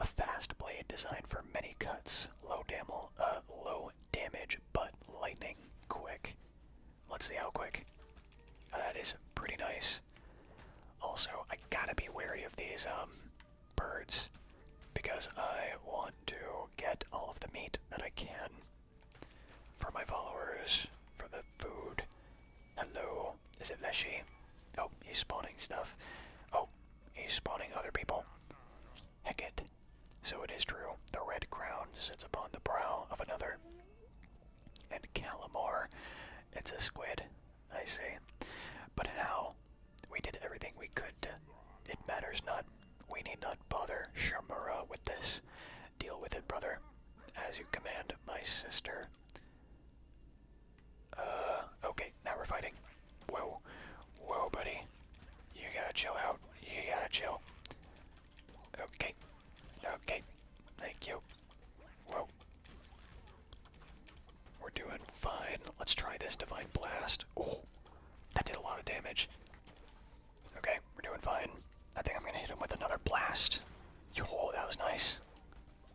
A fast blade designed for many cuts, low, damel, uh, low damage, but lightning quick. Let's see how quick. Uh, that is pretty nice. Also, I gotta be wary of these um, birds because I want to get all of the meat that I can for my followers, for the food, Hello. Is it Leshy? Oh, he's spawning stuff. Oh, he's spawning other people. Heck So it is true. The red crown sits upon the brow of another. And Calamar. It's a squid. I see. But how? We did everything we could It matters not. We need not bother Shamura with this. Deal with it, brother. As you command, my sister. Uh, okay, now we're fighting. Whoa, whoa, buddy. You gotta chill out. You gotta chill. Okay, okay. Thank you. Whoa. We're doing fine. Let's try this Divine Blast. Oh, that did a lot of damage. Okay, we're doing fine. I think I'm gonna hit him with another blast. Oh, that was nice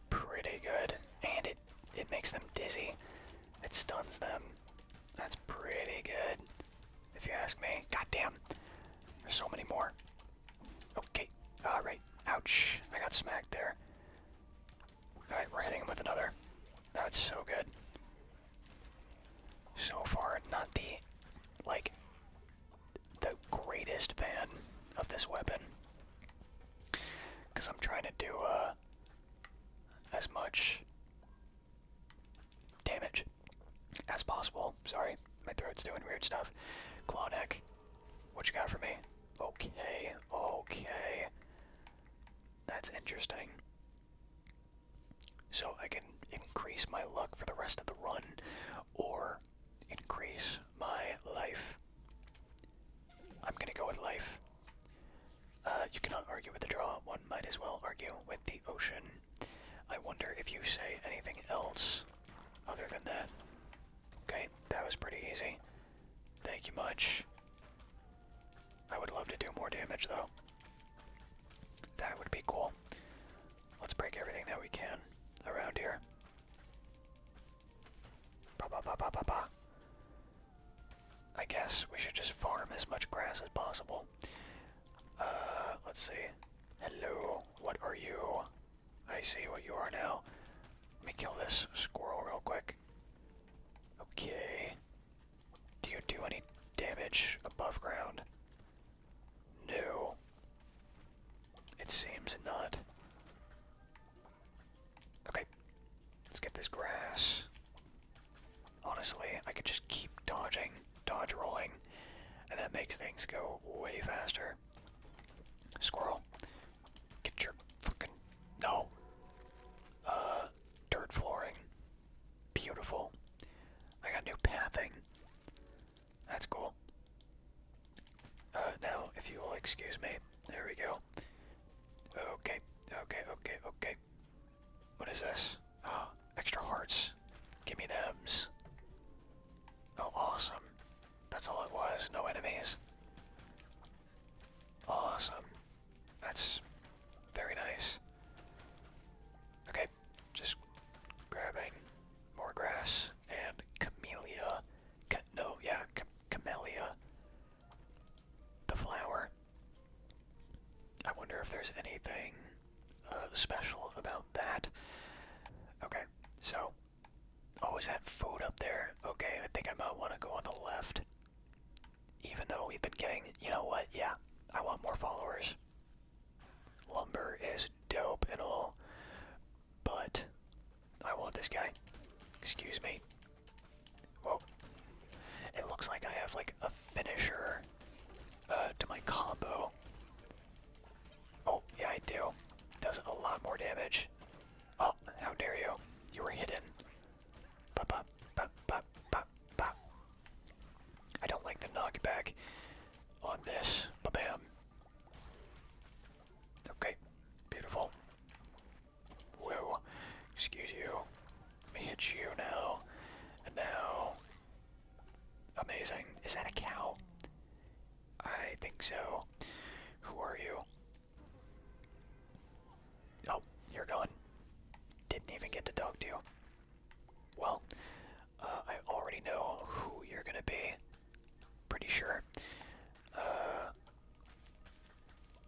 pretty good. And it, it makes them dizzy. It stuns them. That's pretty good, if you ask me. God damn, There's so many more. Okay. Alright. Ouch. I got smacked there. Alright, we're hitting him with another. That's so good. So far, not the, like, the greatest fan of this weapon. Because I'm trying to do uh, as much damage as possible. Sorry, my throat's doing weird stuff. Claw neck, what you got for me? Okay, okay. That's interesting. So I can increase my luck for the rest of the run or increase my life. I'm gonna go with life. Uh, you cannot argue with the draw. One might as well argue with the ocean. I wonder if you say anything else other than that. Okay, that was pretty easy. Thank you much. I would love to do more damage, though. That would be cool. Let's break everything that we can around here. Ba ba ba ba ba ba. I guess we should just farm as much grass as possible. Uh, let's see. Hello, what are you? I see what you are now. Let me kill this squirrel real quick. Okay. Do you do any damage above ground? No. It seems not. Okay. Let's get this grass. Honestly, I could just keep dodging, dodge rolling, and that makes things go way faster. Squirrel, get your fucking. No! Uh, dirt flooring. Beautiful. I got new pathing. That's cool. Uh, now, if you will excuse me. There we go. Okay, okay, okay, okay. What is this? Oh, extra hearts. Give me thems. Oh, awesome. That's all it was. No enemies. Awesome. That's very nice. Okay, just grabbing more grass and camellia. no, yeah, ca camellia the flower. I wonder if there's anything uh, special about that. Okay, so. Oh, is that food up there? Okay, I think I might want to go on the left. Even though we've been getting. You know what? Yeah, I want more followers. Lumber is dope and all. But I want this guy. Excuse me. Whoa. It looks like I have like a finisher uh, to my combo. Oh, yeah, I do. Does a lot more damage. Oh, how dare you. You were hidden. Pop, pop, pop, pop, pop, pop. I don't like the knockback on this. Ba-bam. Okay, beautiful. Whoa. Excuse you. Let me hit you now. now. Amazing. Is that a cow? I think so. Who are you? Oh, you're gone. Didn't even get to talk to you. Well, uh, I already know who you're gonna be. Pretty sure. Uh,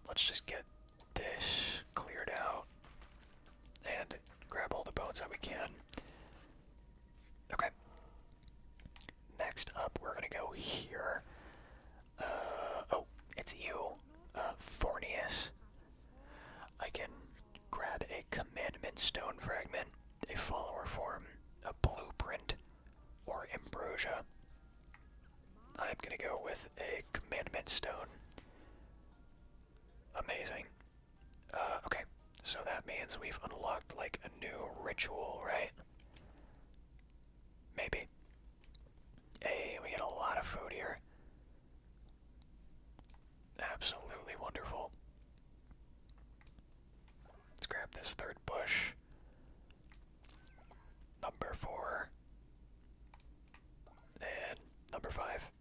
let's just get this cleared out and grab all the bones that we can. Okay. Next up, we're gonna go here. Uh, oh, it's you, uh, Fornius. I can grab a commandment stone fragment, a follower form, a blueprint, or ambrosia. I'm gonna go with a commandment stone. Amazing. Uh, okay, so that means we've unlocked like a new ritual, right? Maybe. Hey, we get a lot of food here. Absolutely wonderful. Let's grab this third bush. Number four. And number five.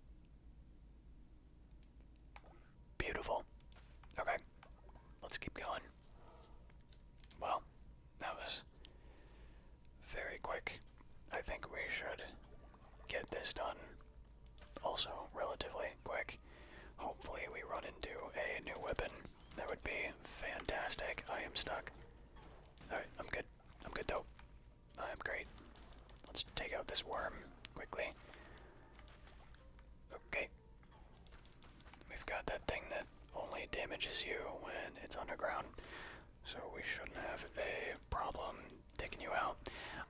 Beautiful. Okay, let's keep going. Well, that was very quick. I think we should get this done also relatively quick. Hopefully, we run into a new weapon that would be fantastic. I am stuck. Alright, I'm good. I'm good though. I'm great. Let's take out this worm quickly. Okay. We've got that thing that only damages you when it's underground. So we shouldn't have a problem taking you out.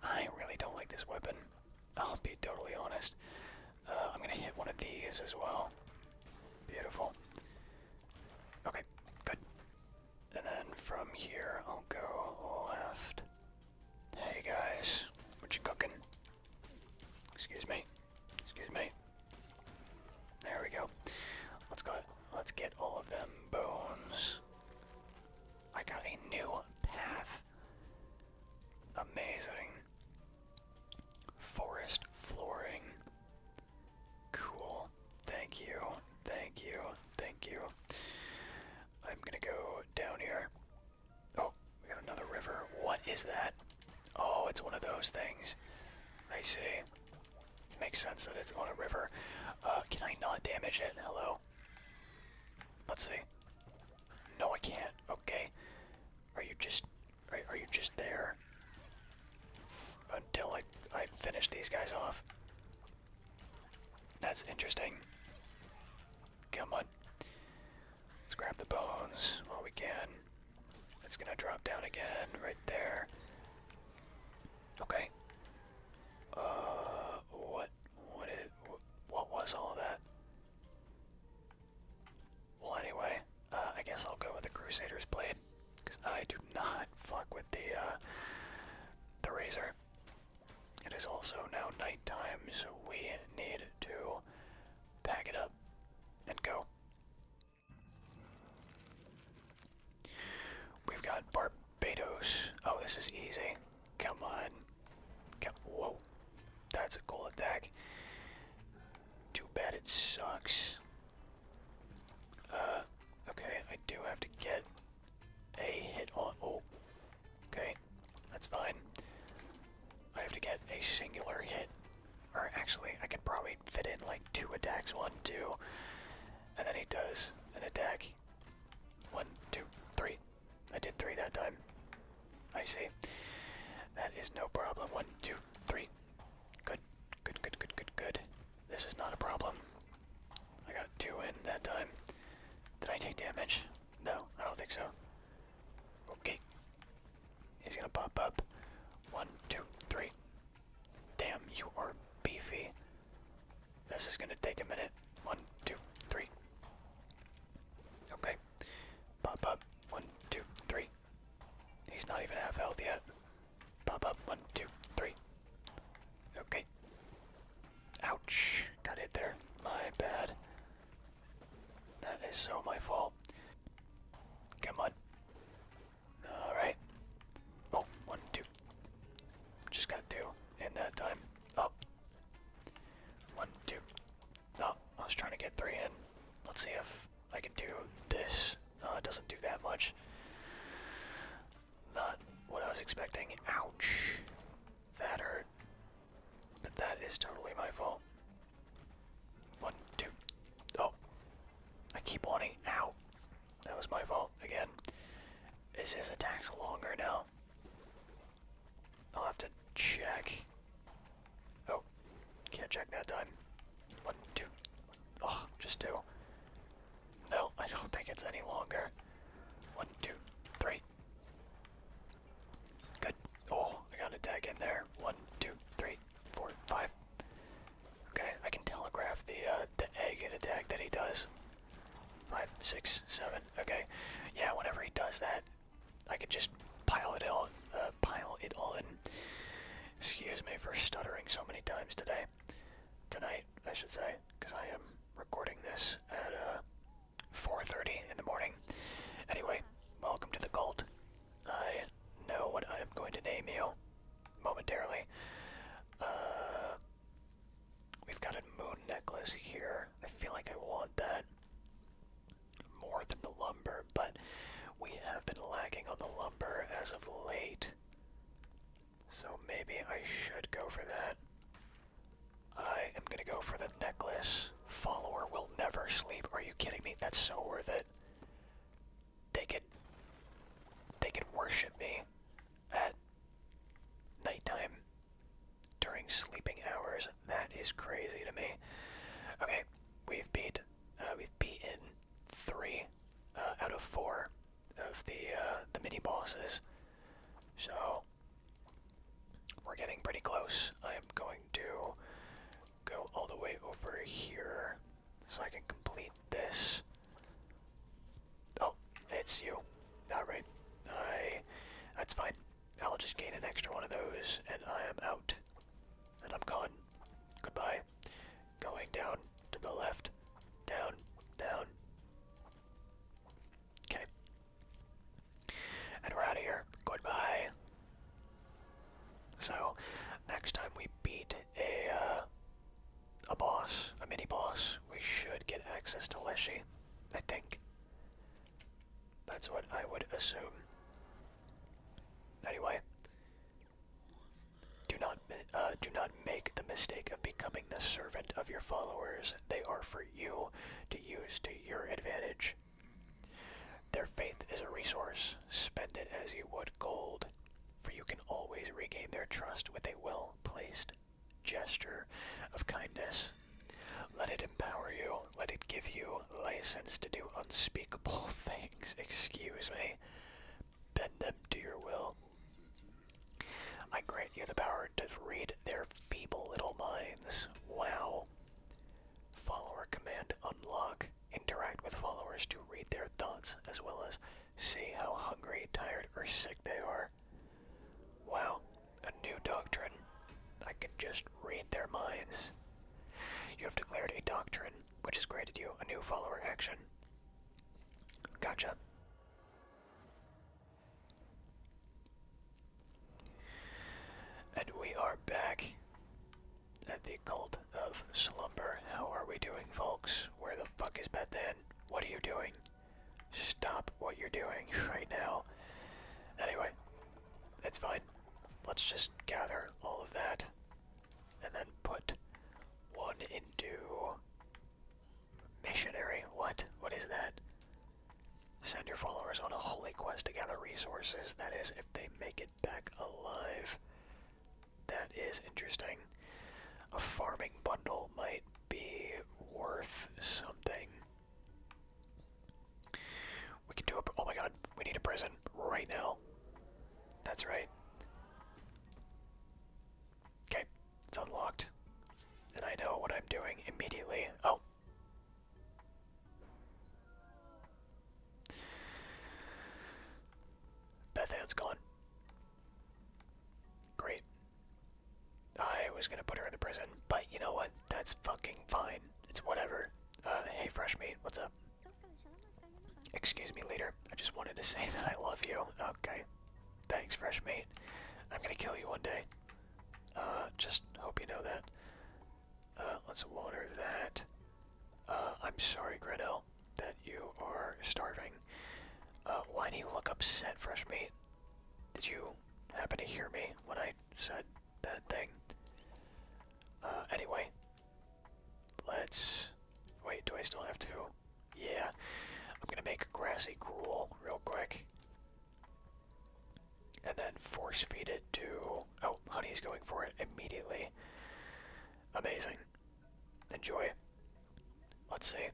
I really don't like this weapon. I'll be totally honest. Uh, I'm gonna hit one of these as well. Beautiful. Okay, good. And then from here, I'll go left. Hey guys, what you cooking? Excuse me. Excuse me. There we go. Let's go. Let's get all of them bones. I got a new path. Amazing. Forest flooring. Cool. Thank you. Thank you. Thank you. I'm gonna go down here. Oh, we got another river. What is that? Oh, it's one of those things. I see. Makes sense that it's on a river. Uh, can I not damage it? Hello? Let's see. No, I can't. Okay. Are you just are, you just there until I, I finish these guys off? That's interesting. Come on. Let's grab the bones while we can. It's gonna drop down again right there. Okay. Uh, what, what is, what was all that? Well, anyway, uh, I guess I'll go with the Crusader's blade, because I do not fuck with the uh, the razor. It is also now nighttime, so we need to pack it up and go. We've got Barbados. Oh, this is easy. Come on. Whoa. That's a cool attack. Too bad it sucks. Uh, okay, I do have to get a hit on. Oh, okay, that's fine. I have to get a singular hit. Or actually, I could probably fit in like two attacks one, two. And then he does an attack. One, two, three. I did three that time. I see. That is no problem. One, two, three. Good, good, good, good, good, good. This is not a problem. I got two in that time. Did I take damage? No, I don't think so. Okay. He's gonna pop up. One, two, three. Damn, you are beefy. This is gonna take a minute. One, two, three. Okay. Pop up. One, two, three. He's not even half health yet. Pop up. One, two, three. Okay. Ouch. Got hit there. My bad. That is so my fault. Come on. Alright. Oh, one, two. Just got two in that time. Oh. One, two. Oh, I was trying to get three in. Let's see if I can do this. Uh, doesn't do that much. Not what I was expecting. Ouch. That hurt. But that is totally my fault. One, two. Oh. I keep wanting out. That was my fault again. Is his attacks longer now? I'll have to check. Oh, can't check that time. One, two. Oh, just two. No, I don't think it's any longer. One, two, three. Good. Oh, I got a tag in there. One, two, three, four, five. Okay, I can telegraph the uh, the egg attack that he does. Five, six, seven. Okay, yeah. Whenever he does that, I can just pile it all, uh, pile it on. Excuse me for stuttering so many times today. Tonight, I should say, because I am recording this at uh, 4.30 in the morning. Anyway, welcome to the cult. I know what I am going to name you momentarily. Uh, we've got a moon necklace here. I feel like I want that more than the lumber but we have been lagging on the lumber as of late. So maybe I should go for that. I am gonna go for the necklace. Follower will never sleep. Are you kidding me? That's so worth it. They could they could worship me at nighttime during sleeping hours. That is crazy to me. Okay, we've beat uh, we've beaten three uh, out of four of the uh, the mini bosses. So we're getting pretty close. I am going to go all the way over here so I can complete this. Oh, it's you. Not right. I. That's fine. I'll just gain an extra one of those, and I am out. And I'm gone. Goodbye going down to the left, down, down. Okay. And we're out of here. Goodbye. So, next time we beat a uh, a boss, a mini boss, we should get access to Leshy. I think. That's what I would assume. Anyway, do not, uh, do not make the mistake of becoming the servant of your followers. They are for you to use to your advantage. Their faith is a resource. Spend it as you would gold, for you can always regain their trust with a well placed gesture of kindness. Let it empower you. Let it give you license to do unspeakable things. Excuse me bend them to your will. I grant you the power to read their feeble little minds. Wow. Follower command unlock. Interact with followers to read their thoughts as well as see how hungry, tired, or sick they are. Wow, a new doctrine. I can just read their minds. You have declared a doctrine which has granted you a new follower action. Gotcha. And we are back at the Cult of Slumber. How are we doing, folks? Where the fuck is then? What are you doing? Stop what you're doing right now. Anyway, that's fine. Let's just gather all of that and then put one into missionary. What? What is that? Send your followers on a holy quest to gather resources. That is, if they make it back alive. That is interesting. A farming bundle might be worth something. We can do a. Oh my god, we need a prison right now. That's right. Okay, it's unlocked. And I know what I'm doing immediately. Oh! Bethan's gone. Great. I was gonna put her in the prison, but you know what? That's fucking fine. It's whatever. Uh, hey, fresh what's up? Excuse me, leader. I just wanted to say that I love you. Okay. Thanks, fresh meat. I'm gonna kill you one day. Uh, just hope you know that. Uh, let's water that. Uh, I'm sorry, Gretel, that you are starving. Uh, why do you look upset, fresh meat? Did you happen to hear me when I said that thing? Uh, anyway, Let's wait. Do I still have to? Yeah, I'm gonna make grassy gruel real quick, and then force feed it to. Oh, honey's going for it immediately. Amazing. Enjoy. Let's see.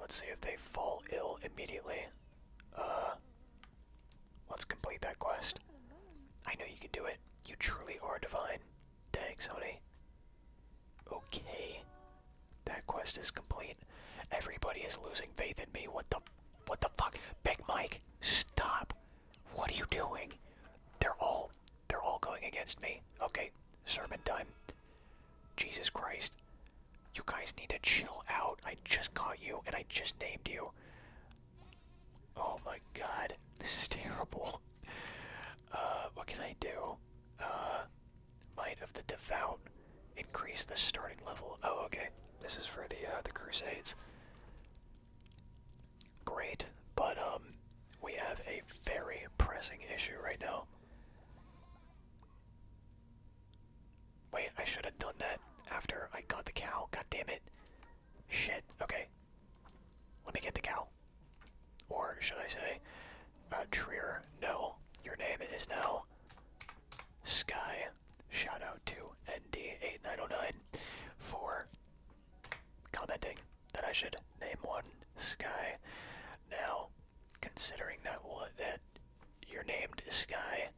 Let's see if they fall ill immediately. Uh, let's complete that quest. I know you can do it. You truly are divine. Thanks, honey. Okay. That quest is complete. Everybody is losing faith in me. What the what the fuck? Big Mike, stop. What are you doing? They're all they're all going against me. Okay, sermon time. Jesus Christ. You guys need to chill out. I just caught you and I just named you. Oh my god. This is terrible. Uh, what can I do? Uh, might of the Devout. Increase the starting level. Oh, okay. This is for the uh, the Crusades. Great, but um, we have a very pressing issue right now. Wait, I should have done that after I got the cow. God damn it. Shit. Okay, let me get the cow. Or should I say, uh, treer. no, your name is now Sky. Shout out to ND8909 for commenting that I should name one Sky. Now, considering that one, that you're named Sky,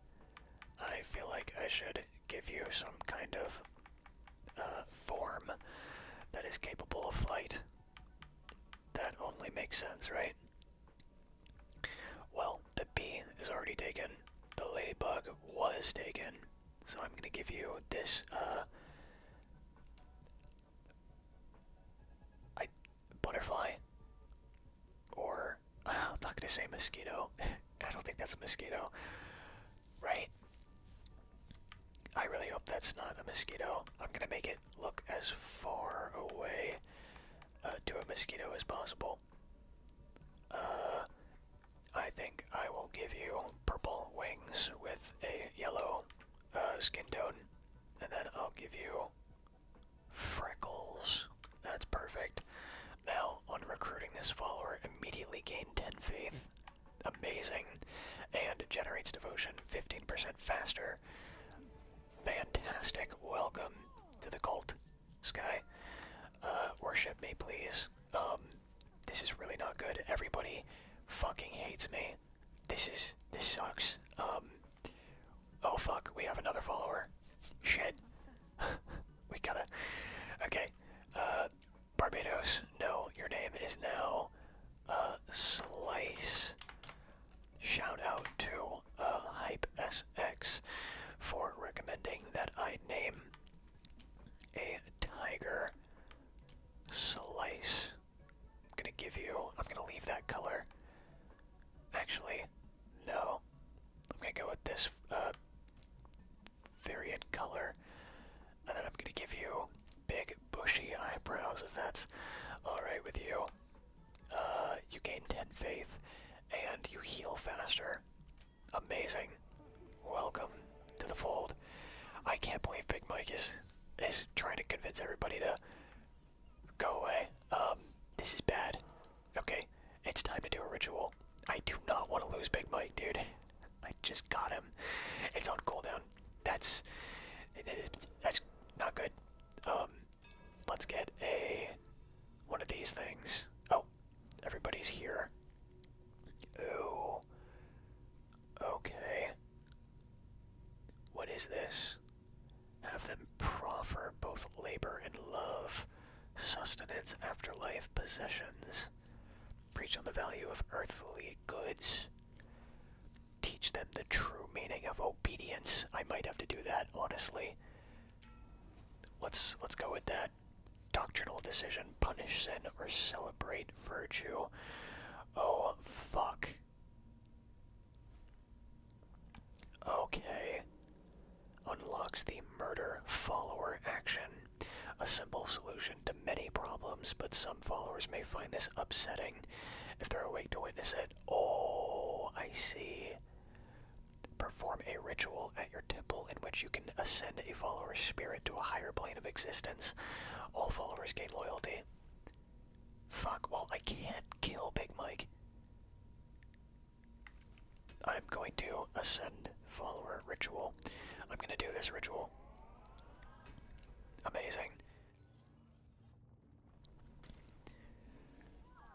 I feel like I should give you some kind of uh, form that is capable of flight. That only makes sense, right? Well, the bee is already taken. The ladybug was taken. So I'm going to give you this. Uh, I butterfly, or I'm not going to say mosquito. I don't think that's a mosquito. Right? I really hope that's not a mosquito. I'm gonna make it look as far away uh, to a mosquito as possible. Uh, I think I will give you purple wings with a yellow uh, skin tone, and then I'll give you freckles. That's perfect. Now, on recruiting this follower, immediately gain 10 faith amazing and generates devotion 15% faster. Fantastic. Welcome to the cult, Sky. Uh, worship me, please. Um, this is really not good. Everybody fucking hates me. This is, this sucks. Um, oh fuck, we have another follower. Shit. we gotta, okay. Uh, Barbados, no, your name is now uh, Slice. Shout out to uh, Hype SX for recommending that I name a tiger Slice. I'm gonna give you, I'm gonna leave that color. Actually, no. I'm gonna go with this uh, variant color. And then I'm going to give you big, bushy eyebrows if that's alright with you. Uh, you gain 10 faith and you heal faster. Amazing. Welcome to the fold. I can't believe Big Mike is, is trying to convince everybody to go away. Um, this is bad. Okay, it's time to do a ritual. I do not want to lose Big Mike, dude. I just got him. It's on cooldown. That's that's not good. Um, let's get a one of these things. Oh, everybody's here. Oh. Okay. What is this? Have them proffer both labor and love, sustenance, afterlife, possessions. Preach on the value of earthly goods. Teach them the true meaning of obedience. I might have to do that, honestly. Let's let's go with that doctrinal decision. Punish sin or celebrate virtue. Oh fuck. Okay. Unlocks the murder follower action. A simple solution many problems, but some followers may find this upsetting if they're awake to witness it. Oh, I see. Perform a ritual at your temple in which you can ascend a follower's spirit to a higher plane of existence. All followers gain loyalty. Fuck, well, I can't kill Big Mike. I'm going to ascend follower ritual. I'm going to do this ritual. Amazing.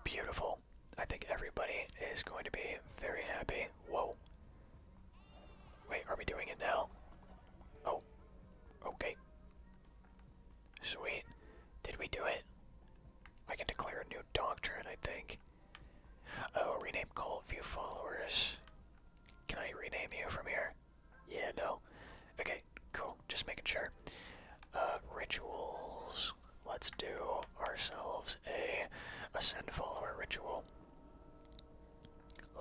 Beautiful. I think everybody is going to be very happy. Whoa. Wait, are we doing it now? Oh. Okay. Sweet. Did we do it? I can declare a new doctrine, I think. Oh, rename cult view followers. Can I rename you from here? Yeah, no. Okay, cool. Just making sure. Uh, rituals. Let's do ourselves a ascend follower ritual.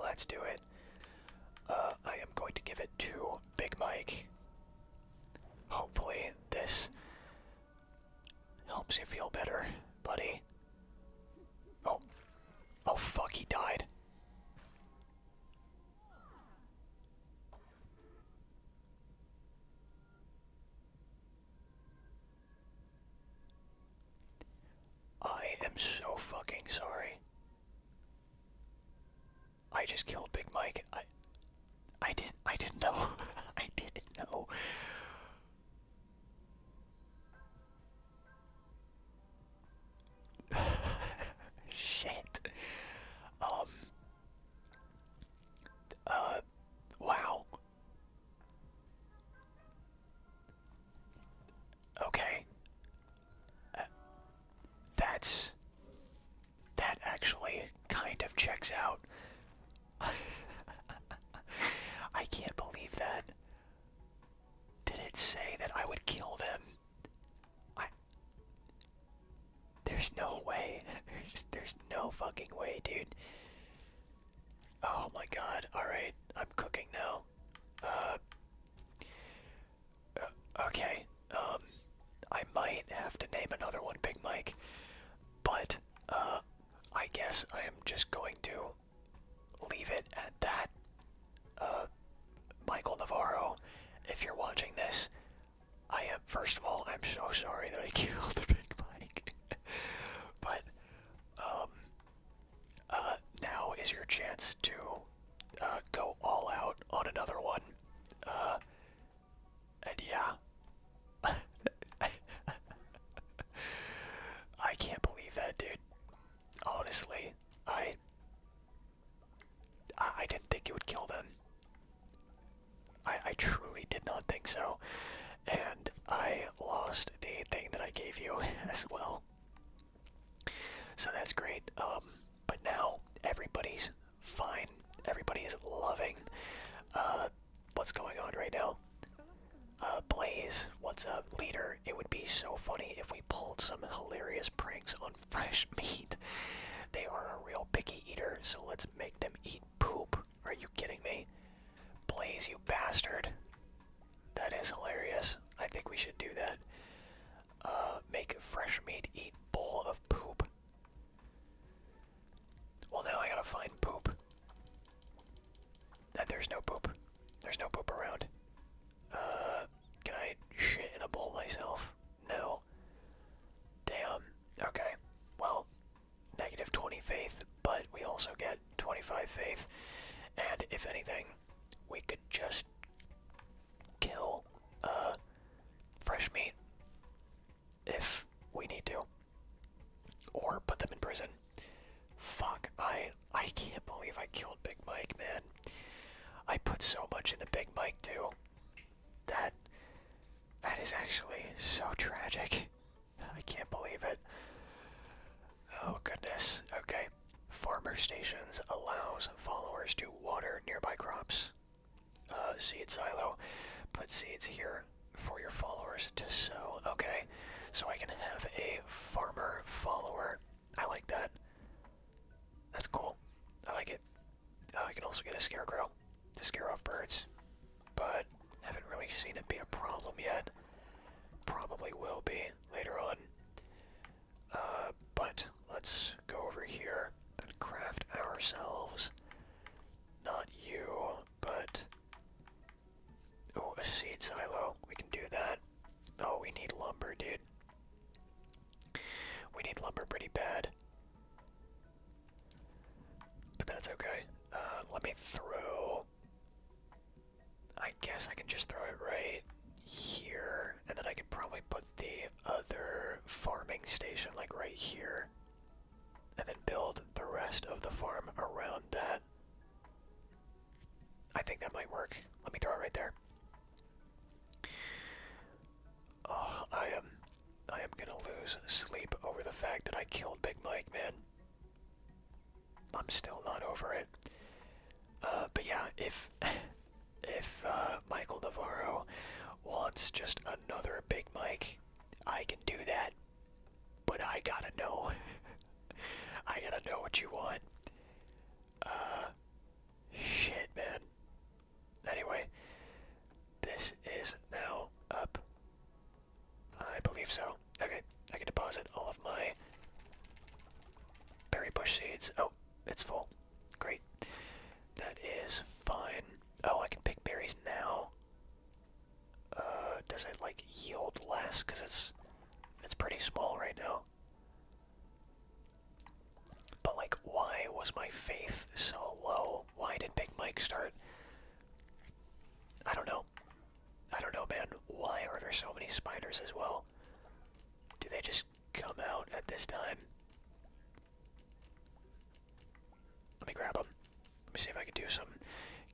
Let's do it. Uh, I am going to give it to Big Mike. Hopefully, this helps you feel better, buddy. Oh, Oh fuck, he died. I am so fucking sorry. I just killed Big Mike. I I didn't I didn't know. I didn't know. Shit. Um. Uh. Wow. Okay. Uh, that's. That actually kind of checks out. I can't believe that. Did it say that I would kill them? I. There's no way. There's, there's no fucking way, dude. Oh my god. Alright, I'm cooking now. Uh, uh. okay. Um. I might have to name another one Big Mike, but uh, I guess I am just going to leave it at that. Uh, Michael Navarro, if you're watching this, I am, first of all, I'm so sorry that I killed the big Mike. but, um, uh, now is your chance to, uh, go all out on another one. and yeah. I can't believe that, dude. Honestly, I I didn't think it would kill them. I I truly did not think so. And I lost the thing that I gave you as well. So that's great. Um but now everybody's fine. Everybody is loving uh what's going on right now. Uh Blaze, what's up, leader? It would be so funny if we if pulled some hilarious pranks on fresh meat. They are a real picky eater, so let's make them eat poop. Are you kidding me? Blaze, you bastard. That is hilarious. I think we should do that. Uh, make fresh meat eat bowl of poop. Well, now I gotta find poop. That there's no poop. There's no poop around. Uh, can I shit in a bowl myself? No. Damn. Okay. Well, negative 20 faith, but we also get 25 faith. And if anything, we could just kill uh, fresh meat if we need to. Or put them in prison. Fuck, I I can't believe I killed Big Mike, man. I put so much into Big Mike too. That that is actually so tragic. I can't believe it. Oh goodness. Okay. Farmer stations allows followers to water nearby crops. Uh, seed silo. Put seeds here for your followers to sow. Okay. So I can have a farmer follower I like that. That's cool. I like it. Uh, I can also get a scarecrow to scare off birds, but haven't really seen it be a problem yet. Probably will be later on. Uh, but let's go over here and craft ourselves. Not you, but. Oh, a seed silo. We can do that. Oh, we need lumber, dude. We need lumber pretty bad. But that's okay. Uh, let me throw. I guess I can just throw it right here, and then I could probably put the other farming station like right here, and then build the rest of the farm around that. I think that might work. Let me throw it right there. Oh, I am I am gonna lose sleep over the fact that I killed Big Mike, man. I'm still not over it. Uh, but yeah, if if uh, Michael Navarro wants just another Big Mike, I can do that. But I gotta know. I gotta know what you want. Uh, Shit, man. Anyway, this is now up. I believe so. Okay, I can deposit all of my berry bush seeds. Oh, it's full. Great. That is fine. Oh, I can pick berries now. Uh, does it like yield less? Cause it's it's pretty small right now. But, like, why was my faith so low? Why did Big Mike start? I don't know. I don't know, man. Why are there so many spiders as well? Do they just come out at this time? Let me grab them. Let me see if I can do some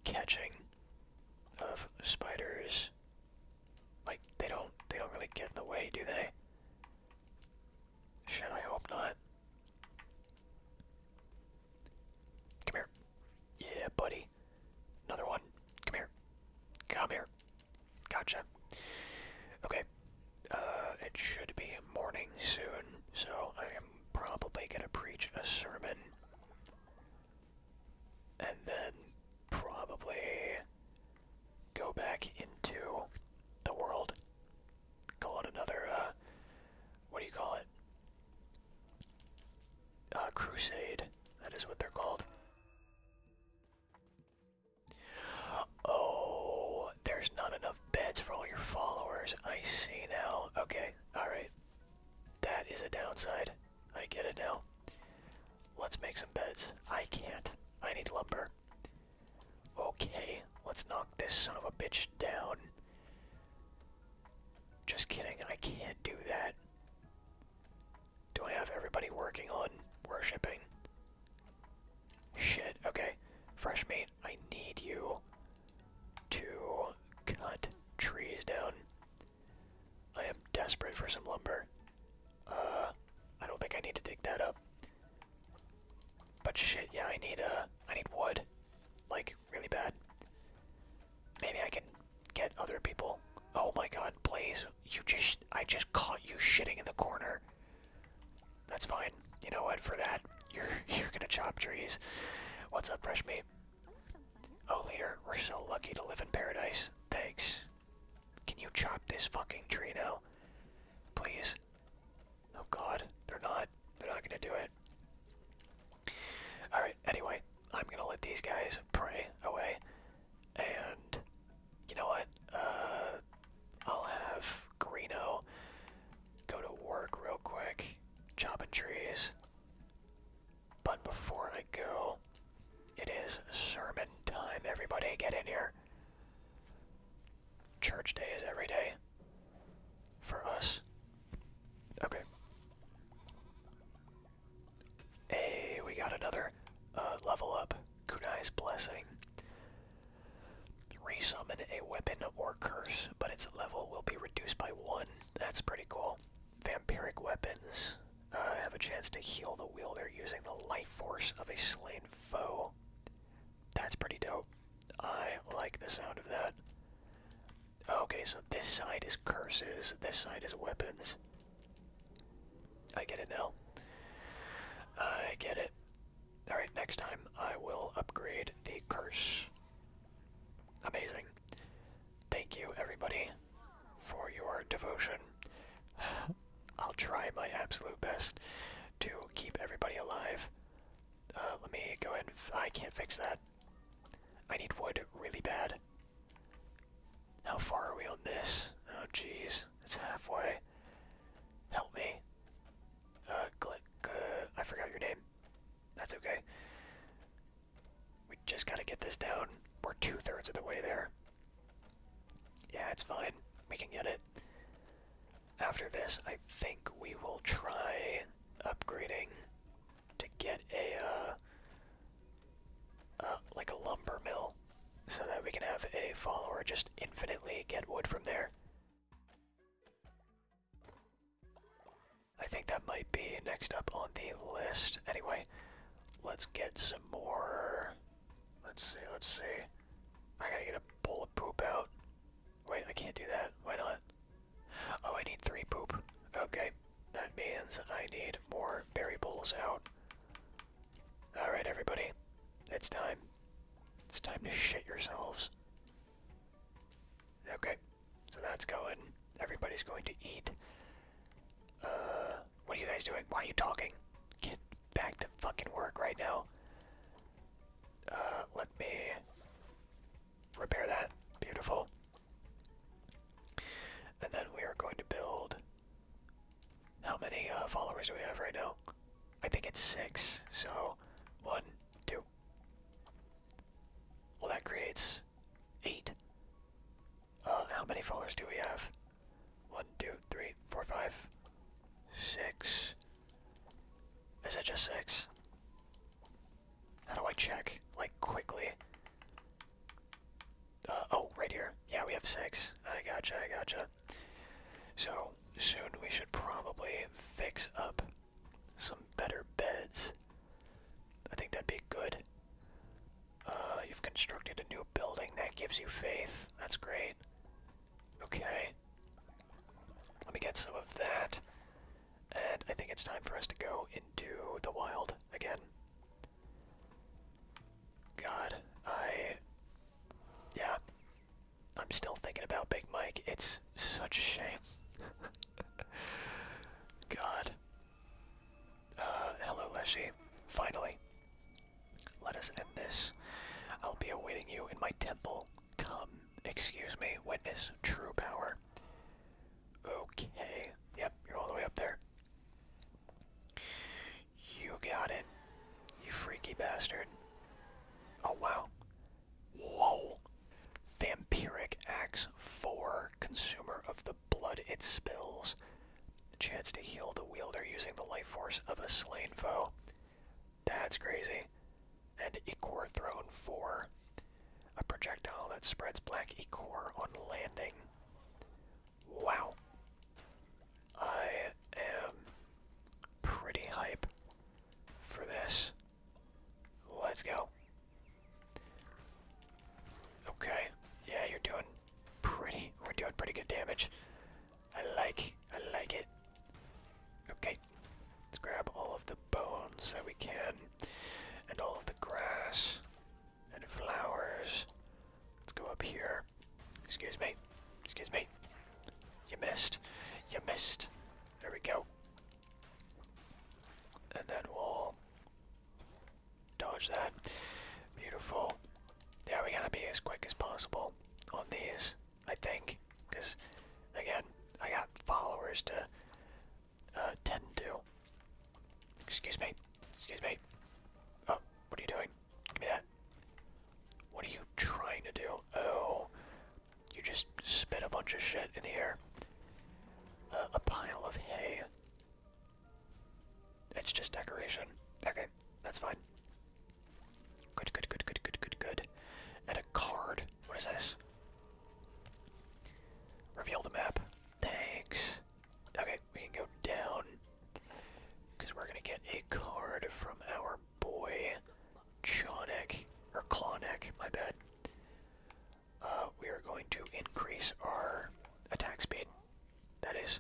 catching of spiders. Like they don't they don't really get in the way, do they? Shit, I hope not. Come here. Yeah, buddy. Another one. Come here. Come here. Gotcha. Okay. Uh, it should be morning soon, so I am probably gonna preach a sermon. And then probably go back into the world. Call it another, uh, what do you call it? Uh, crusade. That is what they're called. Oh, there's not enough beds for all your followers. I see now. Okay, alright. That is a downside. I get it now. Let's make some beds. I can't. I need lumber. Okay, let's knock this son of a bitch down. Just kidding, I can't do that. Do I have everybody working on worshipping? Shit, okay. Fresh meat, I need you to cut trees down. I am desperate for some lumber. Uh, I don't think I need to dig that up. But shit, yeah, I need uh, need wood, like really bad. Maybe I can get other people. Oh my God, Blaze, you just, I just caught you shitting in the corner. That's fine. You know what? For that, you're you're gonna chop trees. What's up, fresh meat? Oh, leader, we're so lucky to live in paradise. Thanks. Can you chop this fucking tree now? Please. Oh god, they're not. They're not gonna do it. Alright, anyway, I'm gonna let these guys pray away. And you know what? Uh I'll have Greeno go to work real quick, chopping trees. But before I go, it is sermon time. Everybody get in here. Church day is every day for us. Okay. Hey, we got another uh, level up. Kunai's Blessing. Resummon a weapon or curse, but its level will be reduced by one. That's pretty cool. Vampiric weapons uh, have a chance to heal the wheel. They're using the life force of a slain foe. That's pretty dope. I like the sound of that. Okay, so this side is curses, this side is weapons. I get it now. I get it. Alright, next time I will upgrade the curse. Amazing. Thank you, everybody, for your devotion. I'll try my absolute best to keep everybody alive. Uh, let me go ahead I I can't fix that. I need wood really bad. How far are we on this? Oh, jeez. It's halfway. Help me. click. Uh, I forgot your name. That's okay. We just gotta get this down. We're two thirds of the way there. Yeah, it's fine. We can get it. After this, I think we will try upgrading to get a, uh, uh, like a lumber mill, so that we can have a follower just infinitely get wood from there. I think that might be next up on the list. Anyway, let's get some more Let's see, let's see. I gotta get a bowl of poop out. Wait, I can't do that. Why not? Oh, I need three poop. Okay. That means I need more berry bowls out. Alright, everybody. It's time. It's time to shit yourselves. Okay. So that's going. Everybody's going to eat. Uh, what are you guys doing? Why are you talking? Get back to fucking work right now. Uh, let me repair that. Beautiful. And then we are going to build. How many uh, followers do we have right now? I think it's six. So, one, two. Well, that creates eight. Uh, how many followers do we have? One, two, three, four, five, six. Is it just six? How do I check? Like, quickly. Uh, oh, right here. Yeah, we have six. I gotcha, I gotcha. So, soon we should probably fix up some better beds. I think that'd be good. Uh, you've constructed a new building that gives you faith. That's great. Okay. Let me get some of that. And I think it's time for us to go into the wild again. God, I. Yeah. I'm still thinking about Big Mike. It's such a shame. God. Uh, hello, Leshy. Finally. Let us end this. I'll be awaiting you in my temple. Come, excuse me, witness true power. Okay. Yep, you're all the way up there. You got it. You freaky bastard. Oh, wow. Whoa. Vampiric Axe 4, consumer of the blood it spills. Chance to heal the wielder using the life force of a slain foe. That's crazy. And Ecor thrown for A projectile that spreads black Ecor on landing. Wow. I am pretty hype for this. Let's go. Okay. Yeah, you're doing pretty. We're doing pretty good damage. I like, I like it. Okay, let's grab all of the bones that we can, and all of the grass and flowers. Let's go up here. Excuse me, excuse me. You missed, you missed. There we go. And then we'll dodge that. Beautiful. Yeah, we gotta be as quick as possible on these, I think. Because, again, I got followers to attend uh, to. Excuse me. Excuse me. Oh, what are you doing? Give me that. What are you trying to do? Oh, you just spit a bunch of shit in the air. Uh, a pile of hay. It's just decoration. Okay, that's fine. Good, good, good, good, good, good, good. And a card. What is this? Reveal the map. Thanks. Okay, we can go down. Because we're going to get a card from our boy, Chonek. Or Klonek, my bad. Uh, we are going to increase our attack speed. That is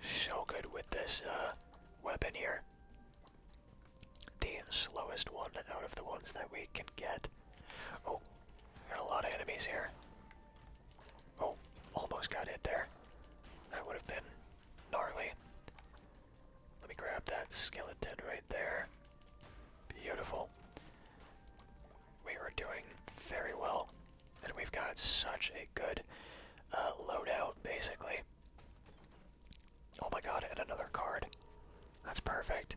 so good with this uh, weapon here. The slowest one out of the ones that we can get. Oh, got a lot of enemies here. Oh, almost got hit there. That would have been gnarly. Let me grab that skeleton right there. Beautiful. We are doing very well. And we've got such a good uh, loadout, basically. Oh my god, and another card. That's perfect.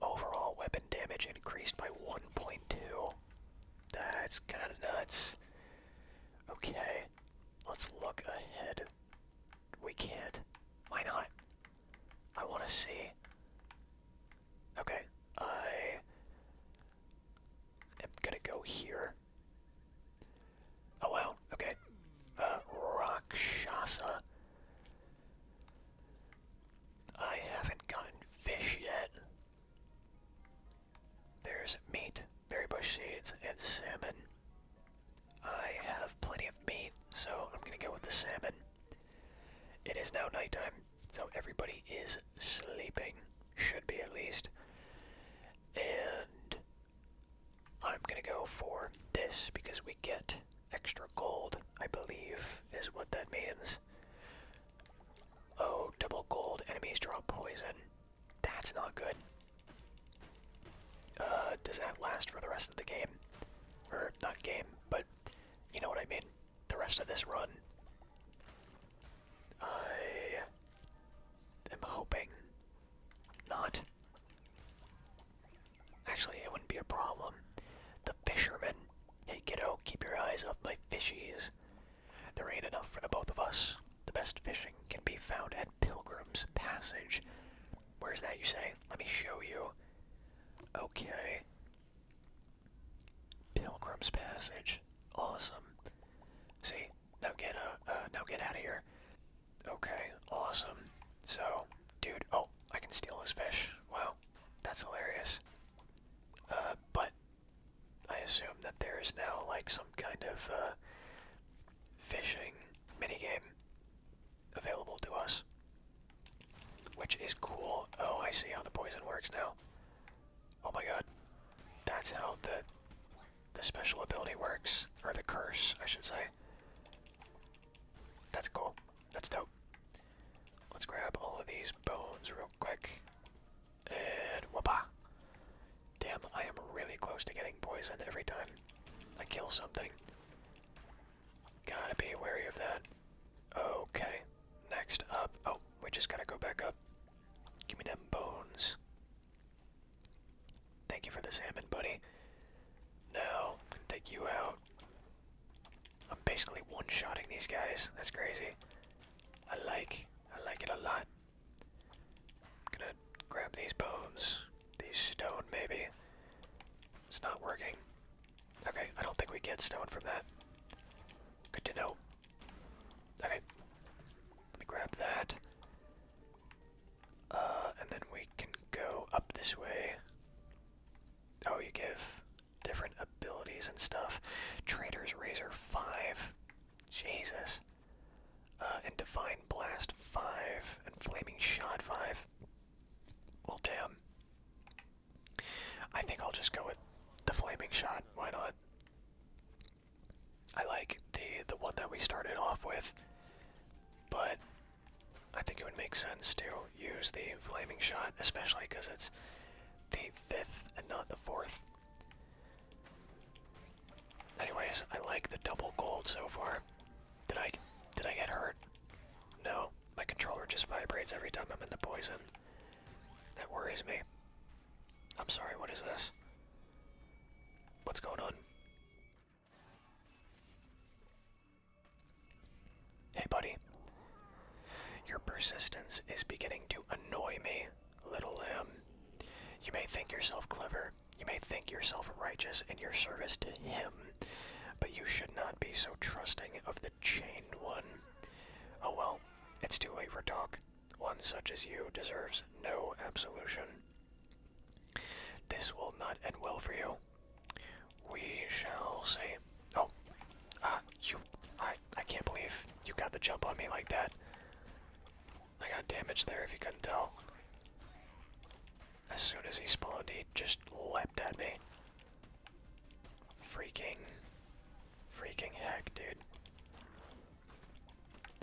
Overall weapon damage increased by 1.2. That's kind of nuts. Okay, let's look ahead. We can't. Why not? I want to see. Okay, I am gonna go here. Oh wow, okay. Uh, Rakshasa. I haven't gotten fish yet. There's meat, berry bush seeds, and salmon. I have plenty of meat, so I'm gonna go with the salmon. It is now nighttime, so everybody is sleeping. Should be at least. And I'm going to go for this because we get extra gold, I believe, is what that means. Oh, double gold. Enemies draw poison. That's not good. Uh, does that last for the rest of the game? Or, not game, but you know what I mean. The rest of this run. I am hoping not. Actually, it wouldn't be a problem. The fisherman. Hey, kiddo, keep your eyes off my fishies. There ain't enough for the both of us. The best fishing can be found at Pilgrim's Passage. Where's that, you say? Let me show you. Okay. Pilgrim's Passage. Awesome. See, now get uh, uh now get out of here. Okay, awesome. So, dude, oh, I can steal his fish. Wow, that's hilarious. Uh, but I assume that there is now like some kind of uh, fishing mini game available to us, which is cool. Oh, I see how the poison works now. Oh my god. That's how the the special ability works. Or the curse, I should say. That's cool. That's dope. Let's grab all of these bones real quick. And whoopah. Damn, I am really close to getting poisoned every time I kill something. Gotta be wary of that. Okay, next up. Oh, we just gotta go back up. Give me them bones. Thank you for the salmon, buddy. Now, I'm take you out. I'm basically one-shotting these guys. That's crazy. I like, I like it a lot. I'm gonna grab these bones, these stone maybe. It's not working. Okay, I don't think we get stone from that. Good to know. Okay. Let me grab that. Uh, and then we can go up this way. Oh, you give different abilities and stuff. Trader's Razor 5. Jesus. Uh, and Divine Blast 5. And Flaming Shot 5. Well, damn. I think I'll just go with the Flaming Shot. Why not? I like the the one that we started off with, but I think it would make sense to use the flaming shot, especially because it's the fifth and not the fourth. Anyways, I like the double gold so far. Did I did I get hurt? No, my controller just vibrates every time I'm in the poison. That worries me. I'm sorry, what is this? What's going on? Hey, buddy. Your persistence is beginning to annoy me, little lamb. You may think yourself clever, you may think yourself righteous in your service to him, but you should not be so trusting of the chained one. Oh well, it's too late for talk. One such as you deserves no absolution. This will not end well for you. We shall see. Oh, uh, you, I, I can't believe you got the jump on me like that. I got damage there if you couldn't tell. As soon as he spawned, he just leapt at me. Freaking, freaking heck, dude.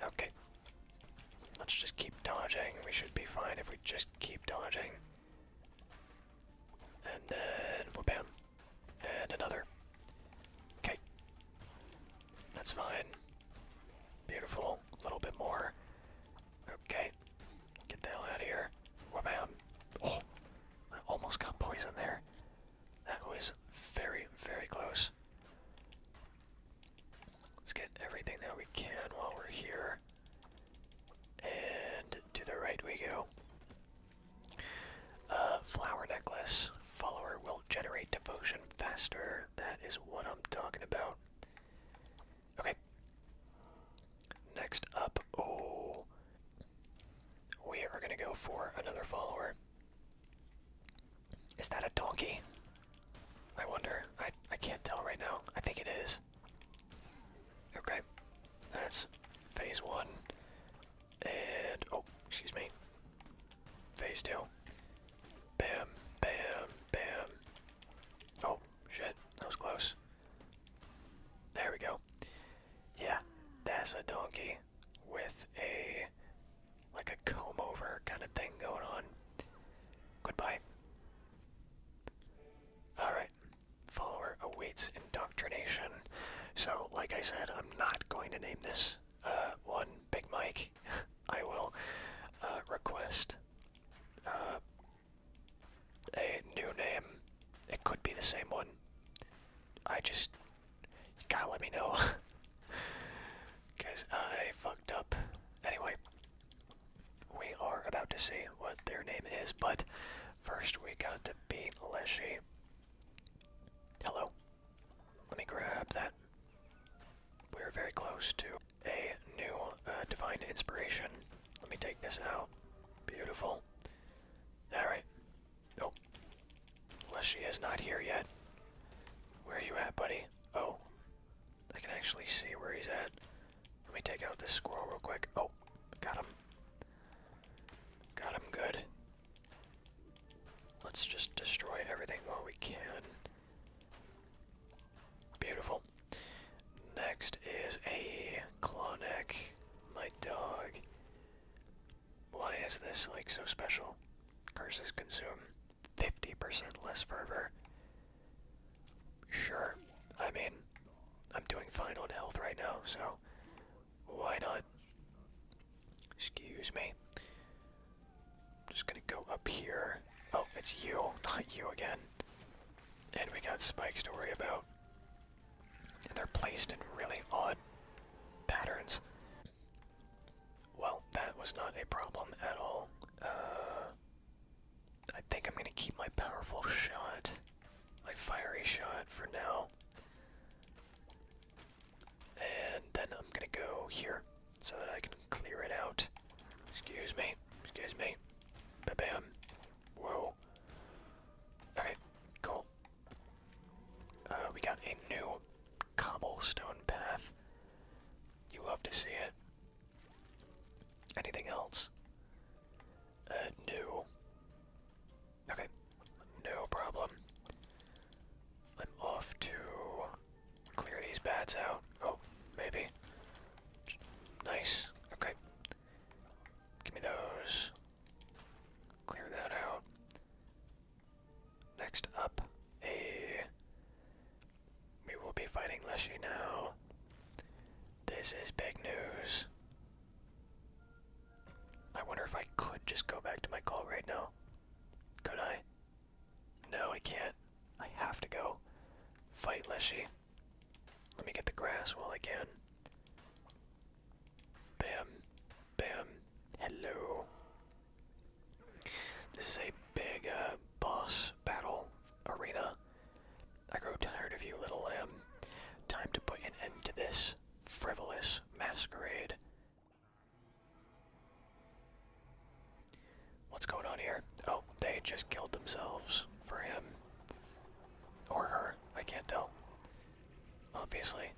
Okay. Let's just keep dodging. We should be fine if we just keep dodging. And then, well, bam. And another. Okay. That's fine. Beautiful. A little bit more. Okay. Get the hell out of here. Wabam. Oh, I almost got poison there. That was very, very close. Let's get everything that we can while we're here. And to the right we go. Uh, flower necklace. Follower will generate devotion faster. That is what I'm talking about. Okay. Next up, oh, we are gonna go for another follower. Is that a donkey? I wonder. I I can't tell right now. I think it is. Okay. That's phase one. And oh, excuse me. Phase two. Bam, bam, bam. Oh, shit. That was close. There we go. Yeah, that's a donkey with a like a comb over kind of thing going on. Goodbye. Alright. Follower awaits indoctrination. So, like I said, I'm not going to name this uh, one Big Mike. I will uh, request uh, a new name. It could be the same one. I just you gotta let me know. Because I fucked up. Anyway, we are about to see what their name is, but first we got to beat Leshy. Hello. Let me grab that. We're very close to a new uh, Divine Inspiration. Let me take this out. Beautiful. Alright. Oh, Unless she is not here yet. Where are you at, buddy? Oh. I can actually see where he's at. Let me take out this squirrel real quick. Oh, got him. Got him good. Let's just destroy everything while we can. Beautiful. Next is a Clonic, my dog. Why is this like so special? Curses consume 50% less fervor. Sure. I mean, I'm doing fine on health right now, so why not? Excuse me. I'm just gonna go up here. Oh, it's you, not you again. And we got spikes to worry about. And they're placed in really odd patterns. Well, that was not a problem at all. Uh, I think I'm gonna keep my powerful shot, my fiery shot for now. And then I'm gonna go here so that I can clear it out. Excuse me, excuse me. bam. Whoa. Okay, cool. Uh, we got a new cobblestone path. You love to see it. Anything else? Uh, Okay, no problem. I'm off to clear these bats out. Oh, maybe. Nice. Okay. Give me those. Clear that out. Next up, a we will be fighting Leshy now. This is big news. I wonder if I could just go back to my call right now. Could I? No, I can't. I have to go fight Leshy. Let me get the grass while I can. Bam. Bam. Hello. This is a big uh, boss battle arena. I grow tired of you, little lamb. Time to put an end to this frivolous masquerade. What's going on here? Oh, they just killed themselves for him. Or her. I can't tell. Obviously.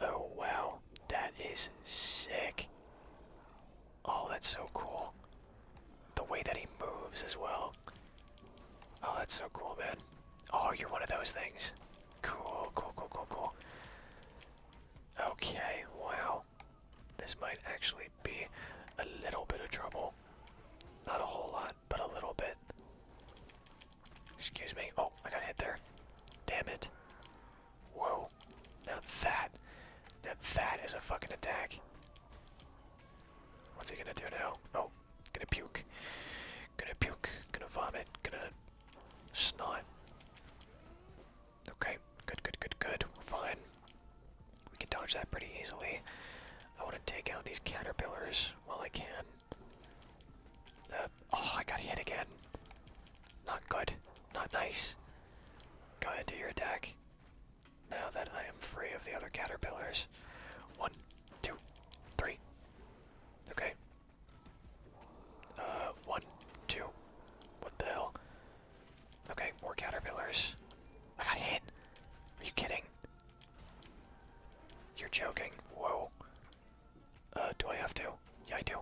Oh, wow. That is sick. Oh, that's so cool. The way that he moves as well. Oh, that's so cool, man. Oh, you're one of those things. Cool, cool, cool, cool, cool. Okay, wow. This might actually be a little bit of trouble. Not a whole lot, but a little bit. Excuse me. Oh, I got hit there. Damn it. Whoa. Now that. Now that is a fucking attack. What's he gonna do now? Oh, gonna puke. Gonna puke. Gonna vomit. Gonna snot. Okay, good, good, good, good. We're fine. We can dodge that pretty easily. I want to take out these caterpillars while I can. Uh, oh, I got hit again. Not good. Not nice. Go ahead, do your attack. Now that I am free of the other caterpillars. One, two, three. Okay. Uh, one, two. What the hell? Okay, more caterpillars. I got hit. Are you kidding? You're joking. Whoa. Uh, do I have to? Yeah, I do.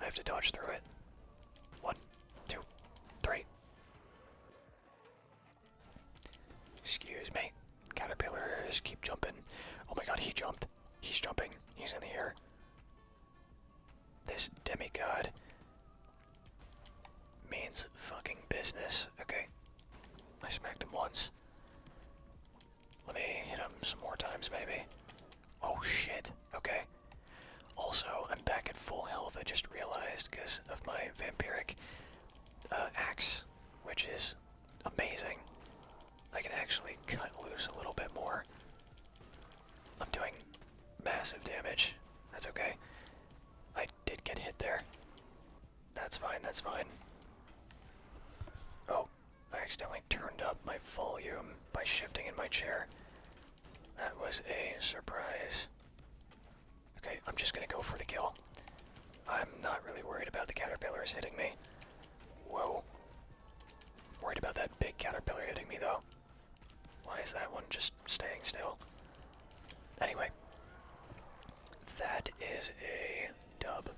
I have to dodge through it. One, two, three. Excuse me. Caterpillars keep jumping. Oh my god, he jumped. He's jumping. He's in the air. This demigod means fucking business. Okay. I smacked him once. Let me hit him some more times, maybe. Oh shit, okay. Also, I'm back at full health, I just realized, because of my vampiric uh, axe, which is amazing. I can actually cut loose a little bit more. I'm doing massive damage. That's okay. I did get hit there. That's fine, that's fine. Oh, I accidentally turned up my volume by shifting in my chair. That was a surprise. Okay, I'm just gonna go for the kill. I'm not really worried about the caterpillar is hitting me. Whoa. Worried about that big caterpillar hitting me though. Why is that one just staying still? Anyway, that is a dub.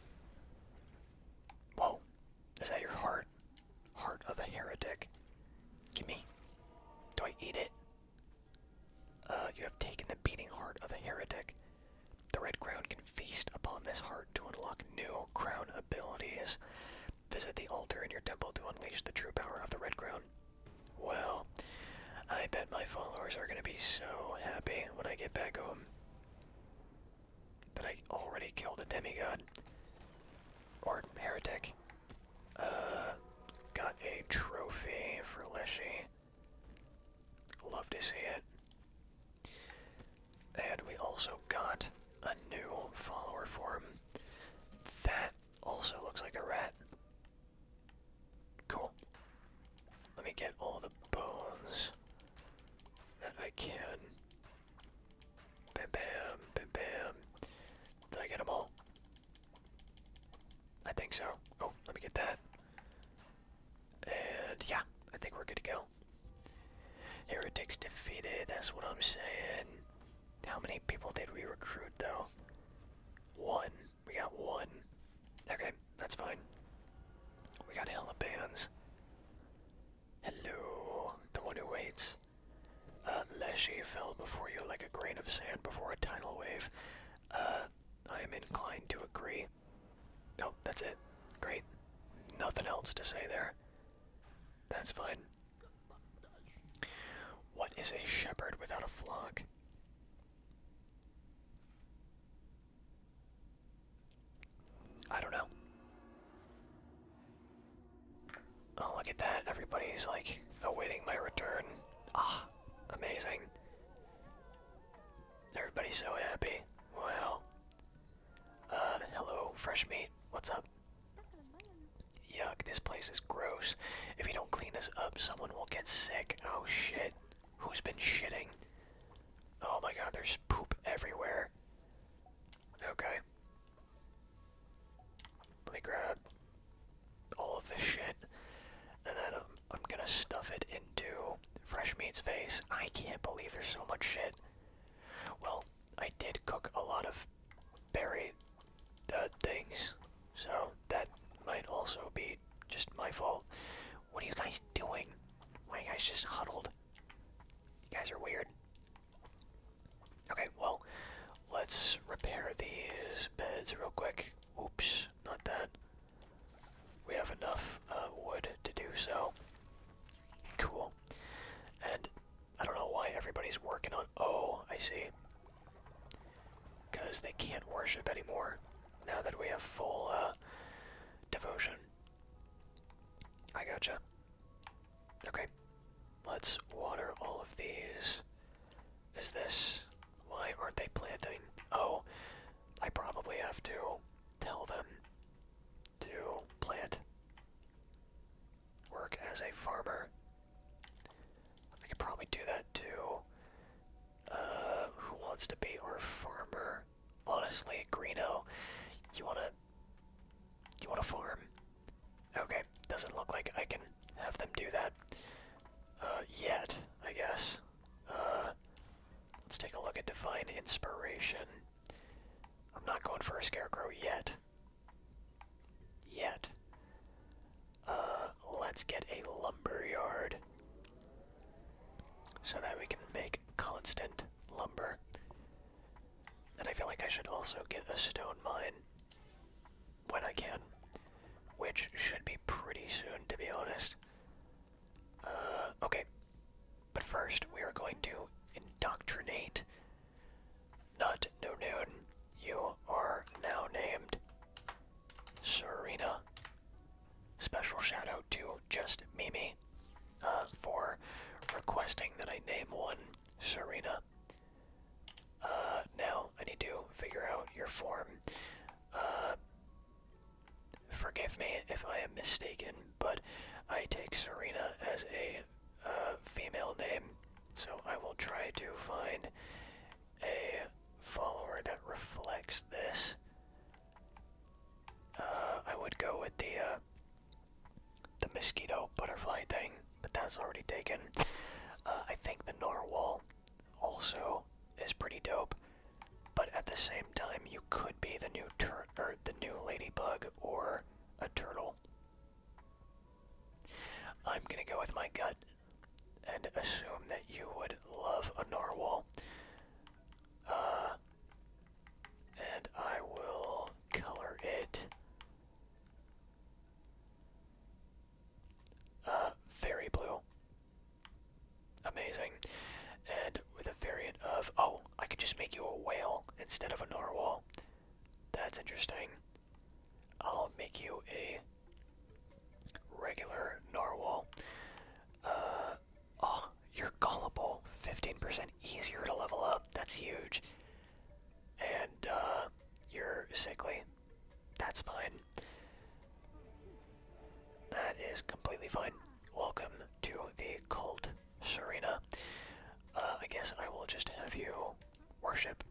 Whoa, is that your heart? Heart of a heretic. Gimme. Do I eat it? Uh, you have taken the beating heart of a heretic. The Red Crown can feast upon this heart to unlock new crown abilities. Visit the altar in your temple to unleash the true power of the Red Crown. Well, I bet my followers are going to be so happy when I get back home that I already killed a demigod. Or heretic. Uh, got a trophy for Leshy. Love to see it. And we also got a new follower for him. That also looks like a rat. Cool. Let me get all the bones that I can. Bam, bam, bam, bam. Did I get them all? I think so. Oh, let me get that. And yeah, I think we're good to go. Heretics defeated, that's what I'm saying. How many people did we recruit though? One. We got one. Okay, that's fine. We got hella bands. Hello, the one who waits. Uh, Leshy fell before you like a grain of sand before a tidal wave. Uh, I am inclined to agree. Oh, that's it. Great. Nothing else to say there. That's fine. What is a shepherd without a flock? I don't know. Oh, look at that. Everybody's like awaiting my return. Ah, amazing. Everybody's so happy. Well, Uh, hello, fresh meat. What's up? Yuck, this place is gross. If you don't clean this up, someone will get sick. Oh shit. Who's been shitting? Oh my god, there's poop everywhere. Okay. Let me grab all of this shit, and then um, I'm, gonna stuff it into Fresh Meat's face. I can't believe there's so much shit. Well, I did cook a lot of berry uh, things, so that might also be just my fault. What are you guys doing? My guys just huddled? You guys are weird. Okay, well, let's repair these beds real quick. Oops, not that. We have enough uh, wood to do so. Cool. And I don't know why everybody's working on. Oh, I see. Because they can't worship anymore now that we have full uh, devotion. I gotcha. Okay, let's water all of these. Is this. Why aren't they planting? Oh, I probably have to tell them to plant. Work as a farmer. I could probably do that too. Uh, who wants to be our farmer? Honestly, Greeno, you wanna you want a farm? Okay, doesn't look like I can have them do that. Uh, yet, I guess. Uh, let's take a look at Divine Inspiration. I'm not going for a Scarecrow yet. Yet. Uh, let's get a Lumberyard. So that we can make constant lumber. And I feel like I should also get a stone mine when I can, which should be pretty soon, to be honest. Uh, okay. But first, we are going to indoctrinate Nut No Noon. You are now named Serena. Special shout out to just Mimi uh, for requesting that I name one Serena. Uh, now I need to figure out your form. Uh, forgive me if I am mistaken, but I take Serena as a uh, female name, so I will try to find a follower that reflects this. I would go with the the mosquito butterfly thing, but that's already taken. Uh, I think the narwhal also is pretty dope, but at the same time, you could be the new tur or the new ladybug or a turtle. I'm gonna go with my gut and assume that you would love a narwhal. Uh, and I will color it uh, very Blue. Amazing. And with a variant of, oh, I could just make you a whale instead of a narwhal. That's interesting. I'll make you a regular narwhal. Uh, oh, you're gullible. 15% easier to level up. That's huge and uh, you're sickly. That's fine. That is completely fine. Welcome to the cult, Serena. Uh, I guess I will just have you worship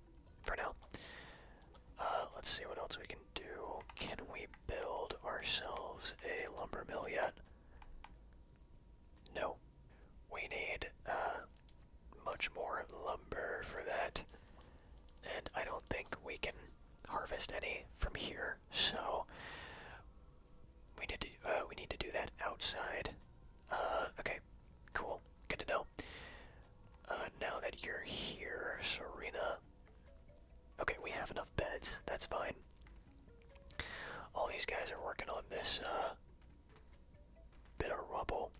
for now. Uh, let's see what else we can do. Can we build ourselves a lumber mill yet? No. We need uh, much more lumber for that, and I don't think we can harvest any from here. So we need to uh, we need to do that outside. Uh, okay, cool, good to know. now that you're here, Serena. Okay, we have enough beds. That's fine. All these guys are working on this bit of rubble.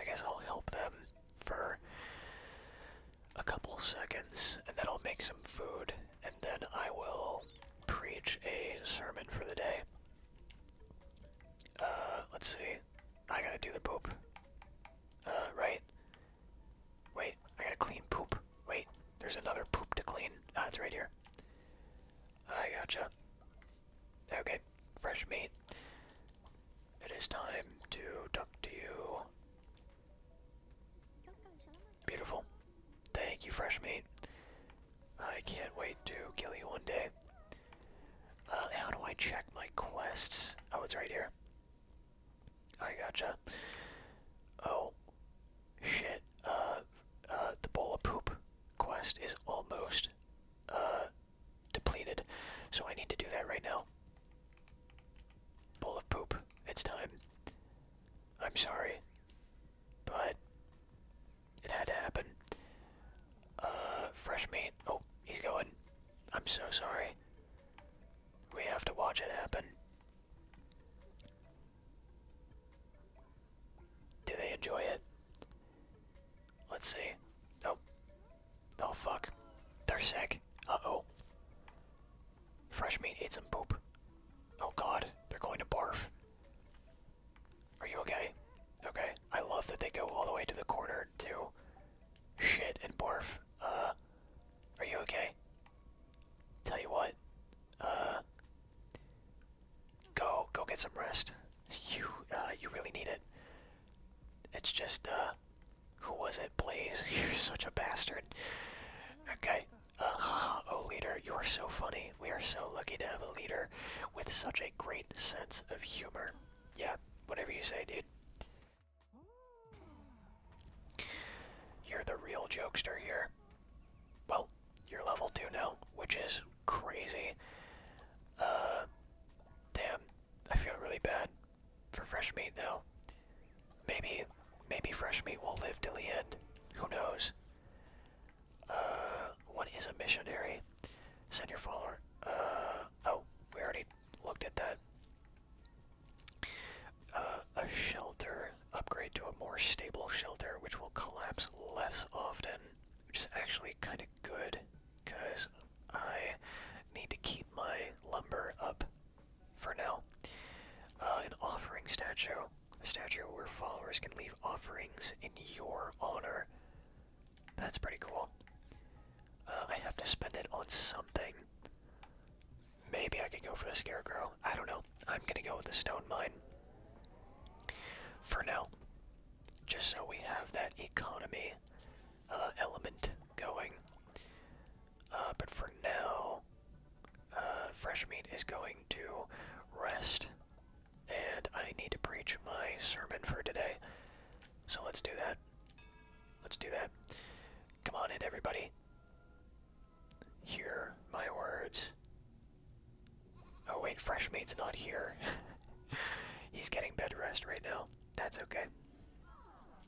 I guess I'll help them for a couple seconds, and then I'll make some food, and then I will preach a sermon for the day. Uh, let's see. I gotta do the poop. Uh, right? Wait, I gotta clean poop. Wait, there's another poop to clean. That's ah, right here. I gotcha. Okay, fresh meat. It is time to talk to you. Beautiful. Thank you, fresh meat. I can't wait to kill you one day. Uh, how do I check my quests? Oh, it's right here. I gotcha. Oh, shit. Uh, uh, the bowl of poop quest is almost, uh, depleted. So I need to do that right now. Bowl of poop. It's time. I'm sorry. But it had to happen. Uh, fresh meat. Oh, he's going. I'm so sorry. We have to watch it happen. Do they enjoy it? Let's see. No. Oh, fuck. They're sick. Uh oh. Fresh meat eats some poop. Oh god, they're going to barf. Are you okay? Okay. I love that they go all the way to the corner to shit and barf. Uh, are you okay? Tell you what, uh, go go get some rest. You uh, you really need it. It's just uh, who was it? Blaze, you're such a bastard. Okay. Uh, oh leader, you are so funny. We are so lucky to have a leader with such a great sense of humor. Yeah, whatever you say, dude. You're the real jokester here. Well, you're level 2 now, which is crazy. Uh, damn, I feel really bad for fresh meat now. Maybe, maybe fresh meat will live till the end. Who knows? Uh, what is a missionary? Send your follower. Uh, oh, we already looked at that. a shelter upgrade to a more stable shelter, which will collapse less often, which is actually kind of good because I need to keep my lumber up for now. Uh, an offering statue, a statue where followers can leave offerings in your honor. That's pretty cool. Uh, I have to spend it on something. Maybe I could go for the scarecrow. I don't know. I'm gonna go with the stone mine. For now just so we have that economy uh, element going. Uh, but for now, uh, fresh meat is going to rest, and I need to preach my sermon for today. So let's do that. Let's do that. Come on in, everybody. Hear my words. Oh wait, fresh mate's not here. He's getting bed rest right now. That's okay.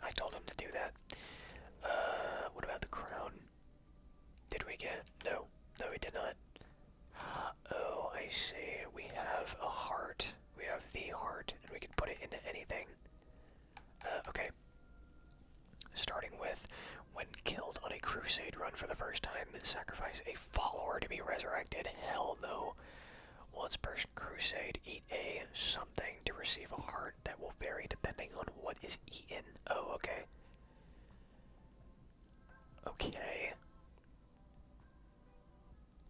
I told him to do that. Uh, what about the crown? Did we get? No, no, we did not. Oh, I see. We have a heart. We have the heart, and we can put it into anything. Uh, okay. Starting with, when killed on a crusade run for the first time, sacrifice a follower to be resurrected. Hell no. Once per crusade, eat a something to receive a heart that will vary depending on what is eaten. Oh, okay. Okay.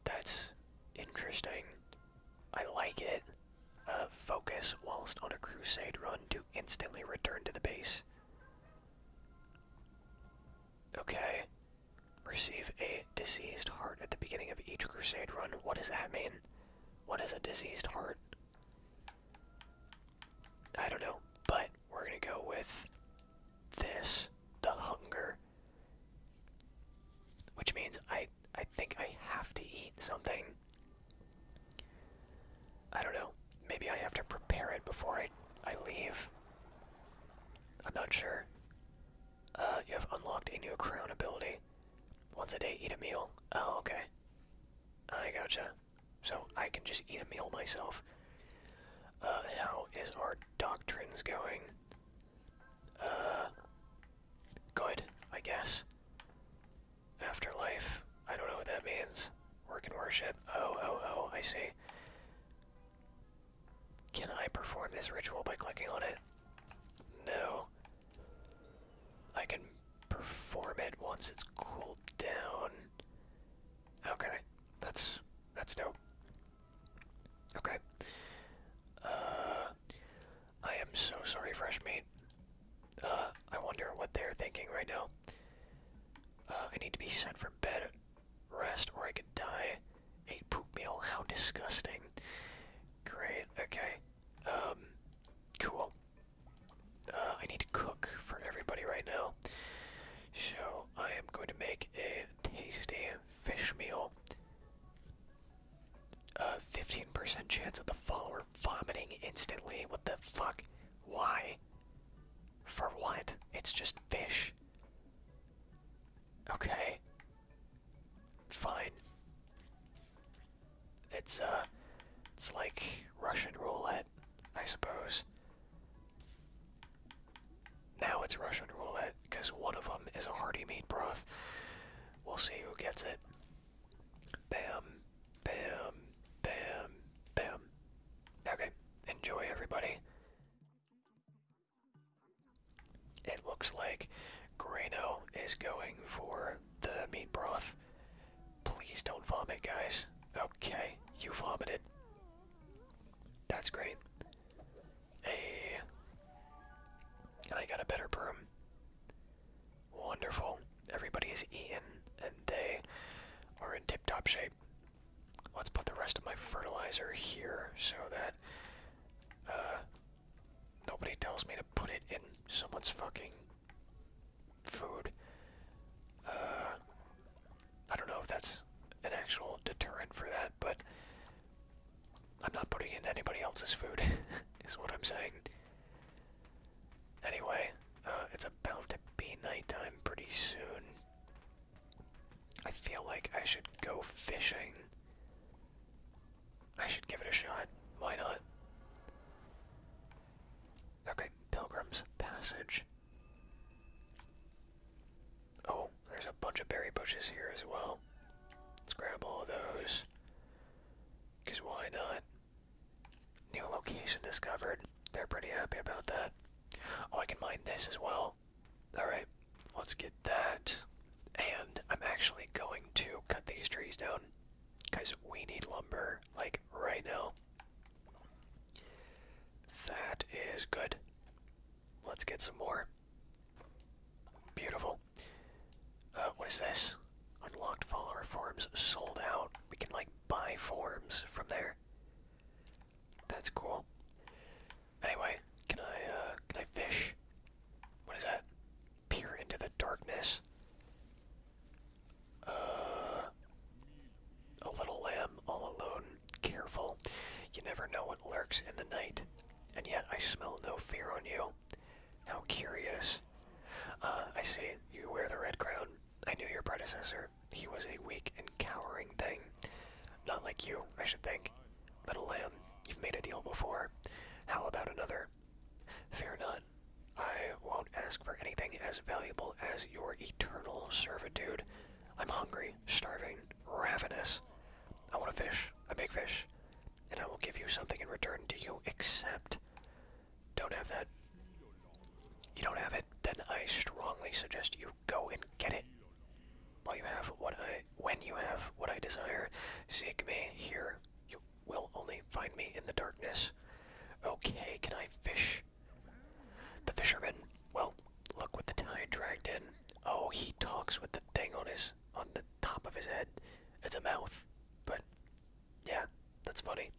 That's interesting. I like it. Uh, focus whilst on a crusade run to instantly return to the base. Okay. Receive a diseased heart at the beginning of each crusade run. What does that mean? What is a diseased heart? I don't know, but we're gonna go with this, the hunger. Which means I I think I have to eat something. I don't know. Maybe I have to prepare it before I I leave. I'm not sure. Uh, you have unlocked a new crown ability. Once a day, eat a meal. Oh, okay. I gotcha. So I can just eat a meal myself. Uh, how is our doctrines going? Uh, good, I guess. Afterlife. I don't know what that means. Work and worship. Oh, oh, oh, I see. Can I perform this ritual by clicking on it? No. I can perform it once it's cooled down. Okay, that's that's dope. Okay. Uh, I am so sorry, fresh meat. Uh, I wonder what they're thinking right now. Uh, I need to be sent for bed rest or I could die. A poop meal, how disgusting. Great, okay. Um, cool. Uh, I need to cook for everybody right now. So I am going to make a tasty fish meal. A uh, 15% chance of the follower vomiting instantly. What the fuck? Why? For what? It's just fish. Okay. Fine. It's uh it's like Russian roulette, I suppose. Now it's Russian roulette because one of them is a hearty meat broth. We'll see who gets it. Bam, bam, bam, bam. Okay, enjoy everybody. It looks like Grano is going for the meat broth. Please don't vomit, guys. Okay, you vomited. That's great. Hey. And I got a better broom. Wonderful. Everybody is eaten, and they are in tip top shape let's put the rest of my fertilizer here so that uh, nobody tells me to put it in someone's fucking food. Uh, I don't know if that's an actual deterrent for that, but I'm not putting in anybody else's food, is what I'm saying. Anyway, uh, it's about to be nighttime pretty soon. I feel like I should go fishing. I should give it a shot. Why not? Okay, Pilgrim's Passage. Oh, there's a bunch of berry bushes here as well. Let's grab all of those. Because why not? New location discovered. They're pretty happy about that. Oh, I can mine this as well. Alright, let's get that. And I'm actually going to cut these trees down because we need lumber, like right now. That is good. Let's get some more. Beautiful. Uh, what is this? Unlocked follower forms sold out. We can, like, buy forms from there. That's cool. Anyway, can I uh, can I fish? What is that? Peer into the darkness. Uh, a little lamb all alone, careful. You never know what lurks in the night, and yet I smell no fear on you. How curious. Uh, I see. You wear the red crown. I knew your predecessor. He was a weak and cowering thing. Not like you, I should think. Little lamb, you've made a deal before. How about another? Fear not. I won't ask for anything as valuable as your eternal servitude. I'm hungry, starving, ravenous. I want a fish, a big fish, and I will give you something in return. Do you accept? Don't have that. You don't have it? Then I strongly suggest you go and get it while you have what I when you have what I desire. Seek me here. You will only find me in the darkness. Okay, can I fish? The fisherman. Well, look what the tide dragged in. Oh, he talks with the thing on his on the top of his head. It's a mouth. But yeah, that's funny.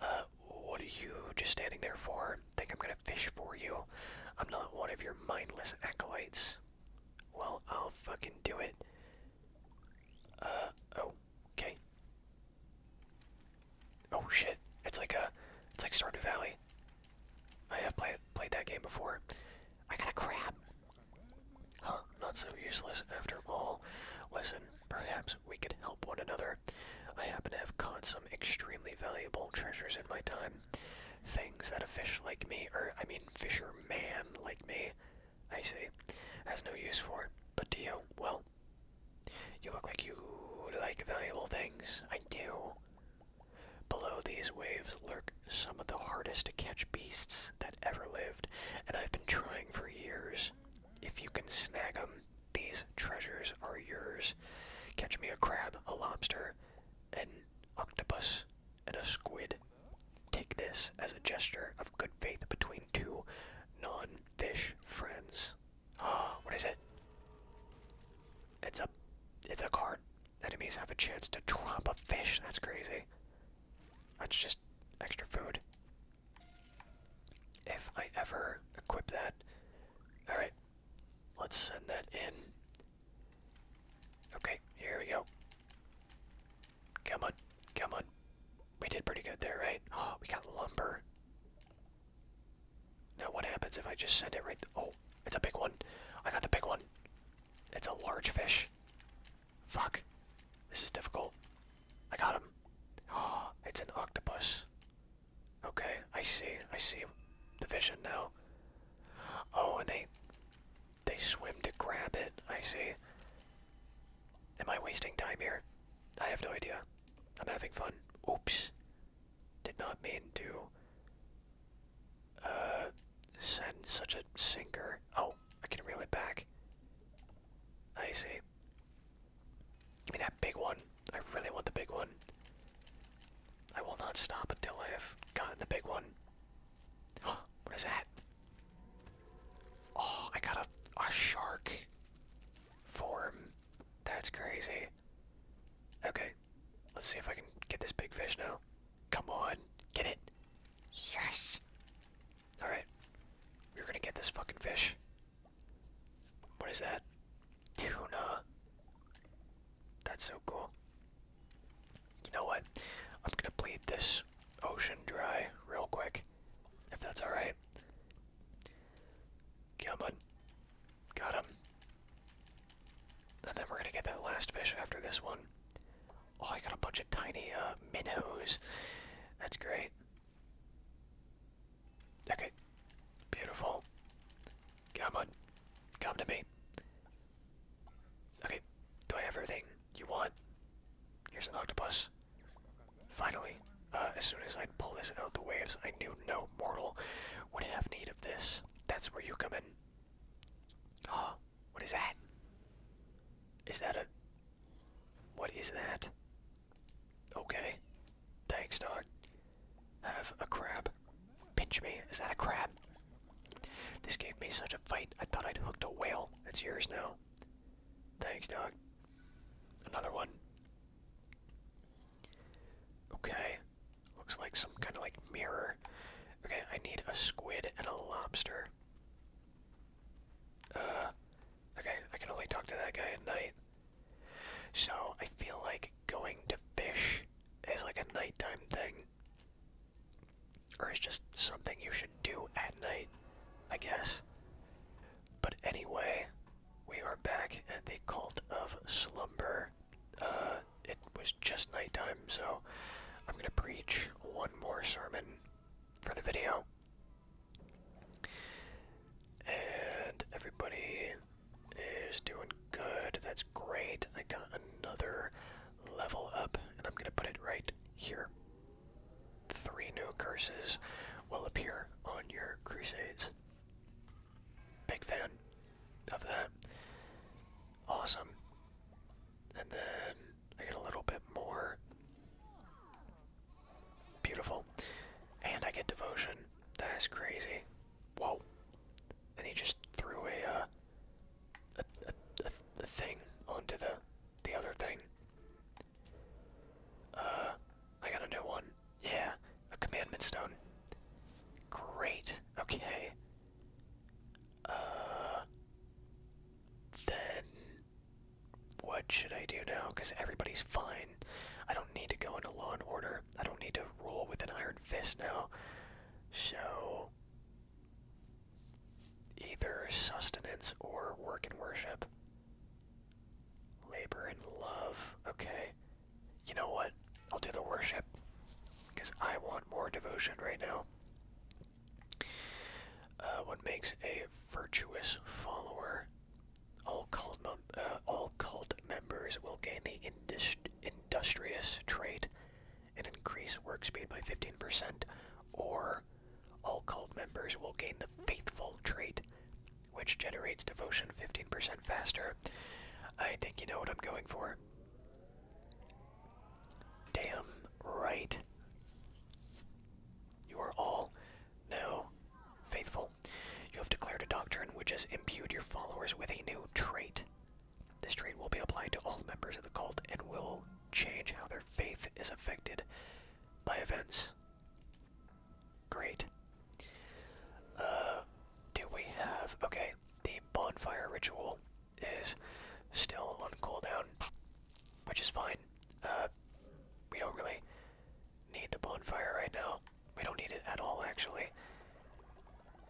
Uh what are you just standing there for? Think I'm gonna fish for you? I'm not one of your mindless acolytes. Well, I'll fucking do it. Uh, oh, okay. Oh shit, it's like a, it's like Stardew Valley. I have played played that game before. I got a crab. Huh, not so useless after all. Listen, perhaps we could help one another. I happen to have caught some extremely valuable treasures in my time things that a fish like me, or I mean fisherman like me, I see, has no use for. But do you? Well, you look like you like valuable things. I do. Below these waves lurk some of the hardest to catch beasts that ever lived, and I've been trying for years. If you can snag 'em, these treasures are yours. Catch me a crab, a lobster, and octopus and a squid. Take this as a gesture of good faith between two non fish friends. Ah, what is it? It's a it's a card. Enemies have a chance to drop a fish. That's crazy. That's just extra food. If I ever equip that. Alright. Let's send that in. Okay, here we go. Come on, come on. We did pretty good there, right? Oh, we got lumber. Now what happens if I just send it right? Oh, it's a big one. I got the big one. It's a large fish. Fuck. This is difficult. I got him. Oh, it's an octopus. Okay, I see. I see the vision now. Oh, and they they swim to grab it. I see. Am I wasting time here? I have no idea. I'm having fun. Oops. Did not mean to uh, send such a sinker. Oh, I can reel it back. I see. Give me that big one. I really want the big one. I will not stop until I have gotten the big one. what is that? Oh, I got a, a shark form. That's crazy. Okay, let's see if I can get this big fish now. Come on, get it. Yes. Alright, we're gonna get this fucking fish. What is that? tuna. That's so cool. You know what? I'm gonna bleed this ocean dry real quick, if that's alright. Come Got him. then we're gonna get that last fish after this one. Oh, I got a bunch of tiny uh, minnows. That's great. Okay. Beautiful. Come on. Come to me. Okay. Do I have everything you want? Here's an octopus. Finally. Uh, as soon as i pull this out of the waves, I knew no mortal would have need of this. That's where you come in. Huh? What is that? Is that a... What is that? Okay. Thanks, dog have a crab pinch me. Is that a crab? This gave me such a fight. I thought I'd hooked a whale. It's yours now. Thanks, dog. Another one. Okay. Looks like some kind of like mirror. Okay, I need a squid and a lobster. Uh, okay, I can only talk to that guy at night. So I feel like going to fish is like a nighttime thing. Or it's just something you should do at night, I guess. But anyway, we are back at the Cult of Slumber. Uh, it was just nighttime, so I'm gonna preach one more sermon for the video. And everybody is doing good. That's great. I got another level up, and I'm going to put it right here. Three new curses will appear on your crusades. Big fan of that. Awesome. And then I get a little bit more. Beautiful. And I get devotion. That's crazy. Whoa. And he just threw uh, a, a, a thing onto the, the other thing. Uh, I got a new one. Yeah, a commandment stone. Great. Okay. Uh, then what should I do now? Because everybody's fine. I don't need to go into law and order. I don't need to rule with an iron fist now. So, either sustenance or work and worship. Labor and love. Okay. You know what? I'll do the worship. Because I want more devotion right now. Uh, what makes a virtuous follower? All cult, uh, all cult members will gain the industrious trait and increase work speed by 15%, or all cult members will gain the faithful trait, which generates devotion 15% faster. I think you know what I'm going for. Damn right. You are all now faithful. You have declared a doctrine which has imbued your followers with a new trait. This trait will be applied to all members of the cult and will change how their faith is affected by events. Great. Uh, do we have. Okay, the bonfire ritual is still on cooldown, which is fine. Uh, we don't really need the bonfire right now. We don't need it at all, actually.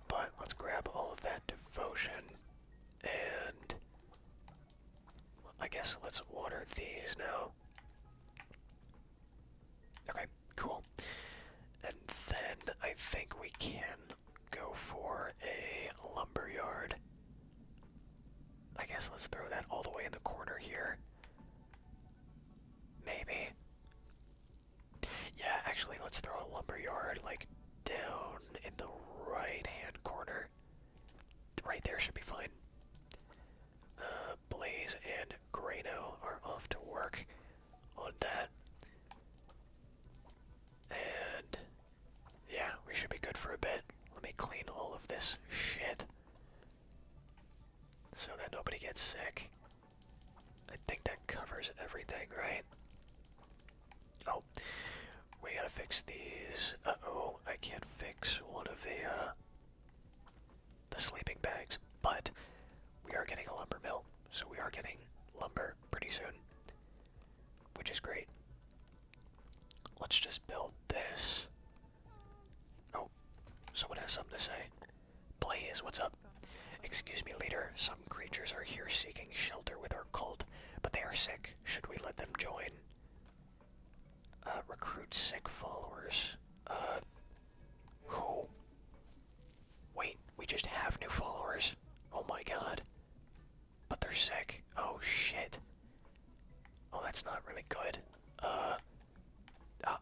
But let's grab all of that devotion, and I guess let's water these now. Okay, cool. And then I think we can go for a lumber I guess let's throw that all the way in the corner here. Maybe. Yeah, actually, let's throw a lumberyard like down in the right-hand corner. Right there should be fine. Uh, Blaze and Grano are off to work on that. And yeah, we should be good for a bit. Let me clean all of this shit so that nobody gets sick. I think that covers everything, right? Oh, we gotta fix these. Uh oh, I can't fix one of the uh, the sleeping bags, but we are getting a lumber mill, so we are getting lumber pretty soon, which is great. Let's just build this. Oh, someone has something to say. Blaze, what's up? Excuse me, leader. Some creatures are here seeking shelter with our cult, but they are sick. Should we let them join? Uh, recruit sick followers. Uh, who? Wait, we just have new followers. Oh my god. But they're sick. Oh shit. Oh, that's not really good. Uh,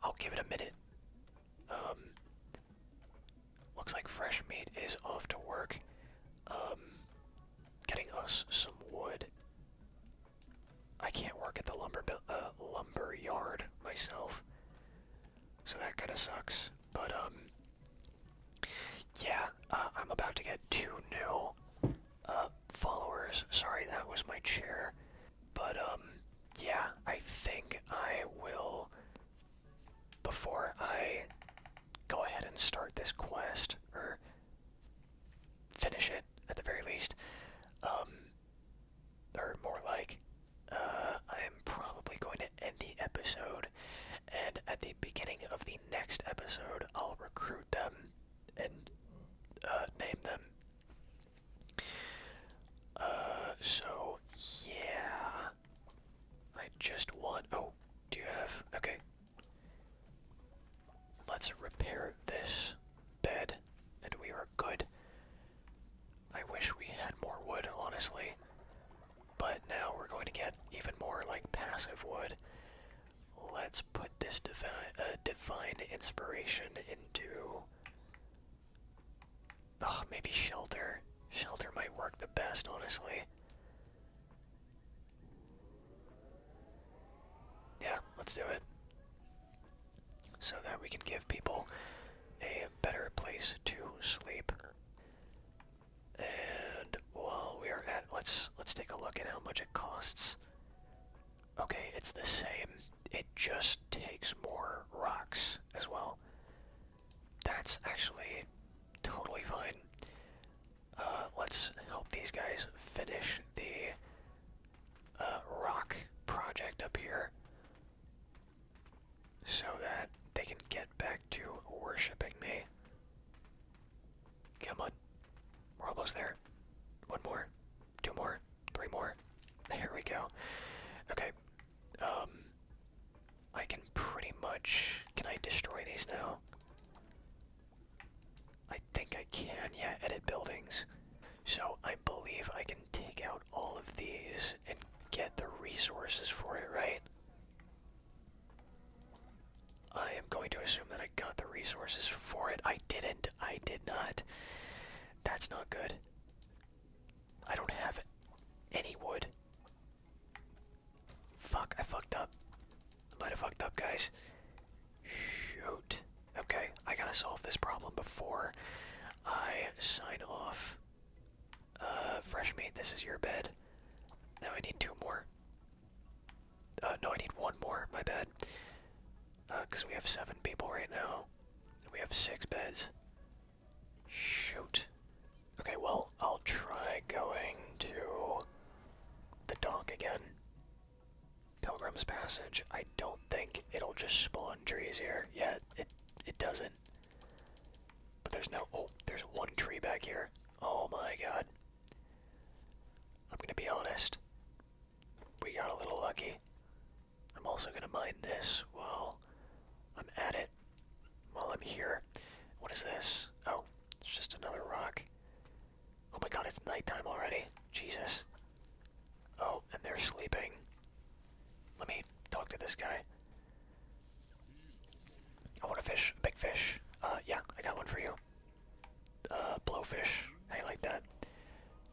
I'll give it a minute. Um, Looks like fresh meat is off to work. Um, getting us some wood. I can't work at the lumber uh, lumber yard myself, so that kind of sucks. But um, yeah, uh, I'm about to get two new uh, followers. Sorry, that was my chair. But um, yeah, I think I will before I go ahead and start this quest, or finish it at the very least, um, or more like, uh, I'm probably going to end the episode, and at the beginning of the next episode, I'll recruit them and uh, name them. Uh, so yeah, I just want. Oh, do you have. Okay. Let's repair this bed, and we are good. I wish we had more wood, honestly. But now we're going to get even more, like, passive wood. Let's put this uh, divine, inspiration into Ugh, maybe shelter. Shelter might work the best, honestly. Yeah, let's do it. So that we can give people a better place to sleep. And while we are at let's let's take a look at how much it costs. Okay, it's the same. It just takes more rocks as well. That's actually totally fine. Uh, let's help these guys finish the uh, rock project up here so that they can get back to worshipping me. Come on. We're almost there. One more. Two more. Three more. Here we go. Okay. Um, I can pretty much. Can I destroy these now? I think I can. Yeah, edit buildings. So I believe I can take out all of these and get the resources for it, right? I am going to assume that I got the resources for it. I didn't. I did not. That's not good. I don't have any wood. Fuck, I fucked up. I might have fucked up, guys. Shoot. Okay, I gotta solve this problem before I sign off. Uh, fresh meat, this is your bed. Now I need two more. Uh, no, I need one more, my bad. Uh, because we have seven people right now. We have six beds. Shoot. Okay, well, I'll try going to the dock again. Pilgrim's Passage. I don't think it'll just spawn trees here. Yeah, it it doesn't. But there's no oh, there's one tree back here. Oh my god. I'm gonna be honest. We got a little lucky. I'm also gonna mine this Well, I'm at it while I'm here. What is this? Oh, it's just another rock. Oh my god, it's nighttime already. Jesus. Oh, and they're sleeping. Let me talk to this guy. I want a fish, a big fish. Uh, yeah, I got one for you. Uh, blowfish. Hey, like that?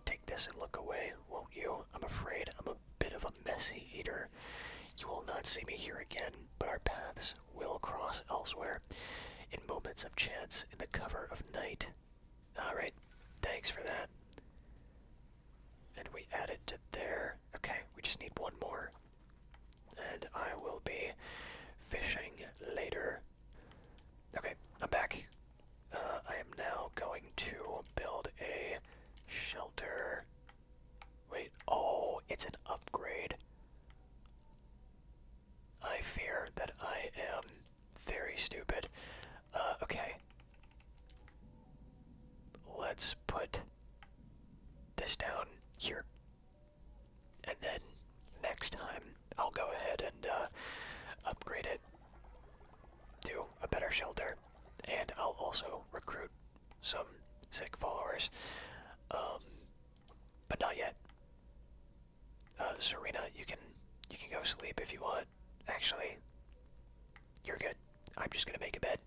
Take this and look away, won't you? I'm afraid I'm a bit of a messy eater. You will not see me here again, but our paths will cross elsewhere in moments of chance in the cover of night. Alright, thanks for that. And we added to there. Okay, we just need one more. And I will be fishing later. Okay, I'm back. Uh, I am now going to build a shelter Wait, oh, it's an upgrade. I fear that I am very stupid. Uh, okay. Let's put this down here. And then next time I'll go ahead and uh, upgrade it to a better shelter. And I'll also recruit some sick followers. Um, but not yet. Uh, Serena, you can you can go sleep if you want. Actually, you're good. I'm just gonna make a bed,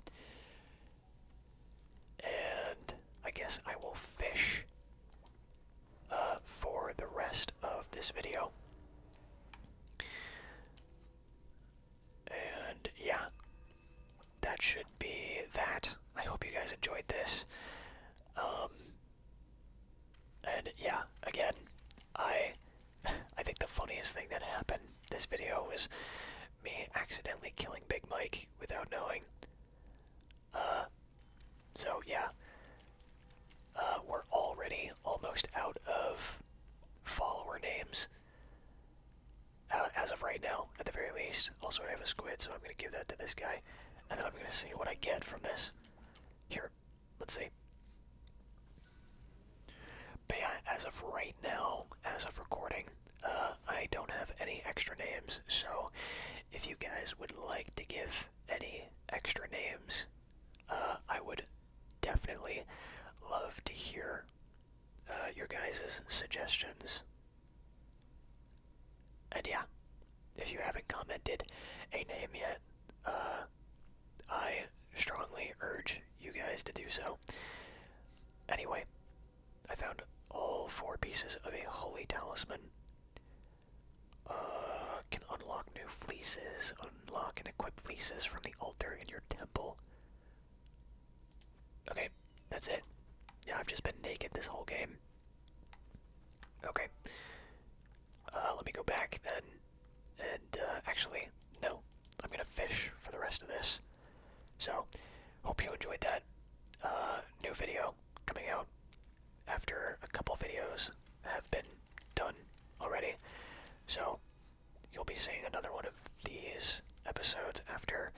and I guess I will fish uh, for the rest of this video. And yeah, that should be that. I hope you guys enjoyed this. Um, and yeah, again, I I think the funniest thing that happened this video was me accidentally killing Big Mike without knowing. Uh, so yeah, uh, we're already almost out of follower names. Uh, as of right now, at the very least. Also, I have a squid, so I'm going to give that to this guy. And then I'm going to see what I get from this. Here, let's see. But as of right now, as of recording, uh, I don't have any extra names. So if you guys would like to give any extra names, uh, I would definitely love to hear your guys' suggestions and yeah, if you haven't commented a name yet, uh, I strongly urge you guys to do so. Anyway, I found all four pieces of a holy talisman. Uh, can unlock new fleeces, unlock and equip fleeces from the altar in your temple. Okay, that's it. Yeah, I've just been naked this whole game. Okay. Uh, let me go back then. And uh, actually, no. I'm gonna fish for the rest of this. So, hope you enjoyed that. Uh, new video coming out after a couple videos have been done already. So, you'll be seeing another one of these episodes after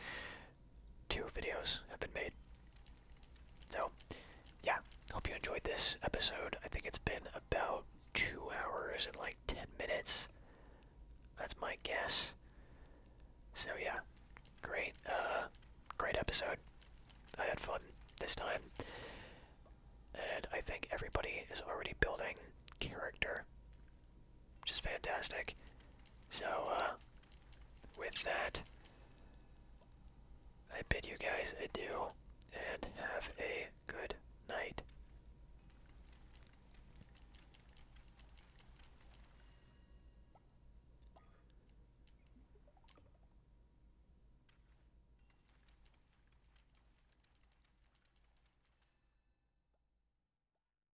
two videos have been made. So, yeah, hope you enjoyed this episode. I think it's been about two hours and like 10 minutes. That's my guess. So, yeah, great, uh, great episode. I had fun this time. And I think everybody is already building character which is fantastic. So, uh, with that, I bid you guys adieu and have a good night.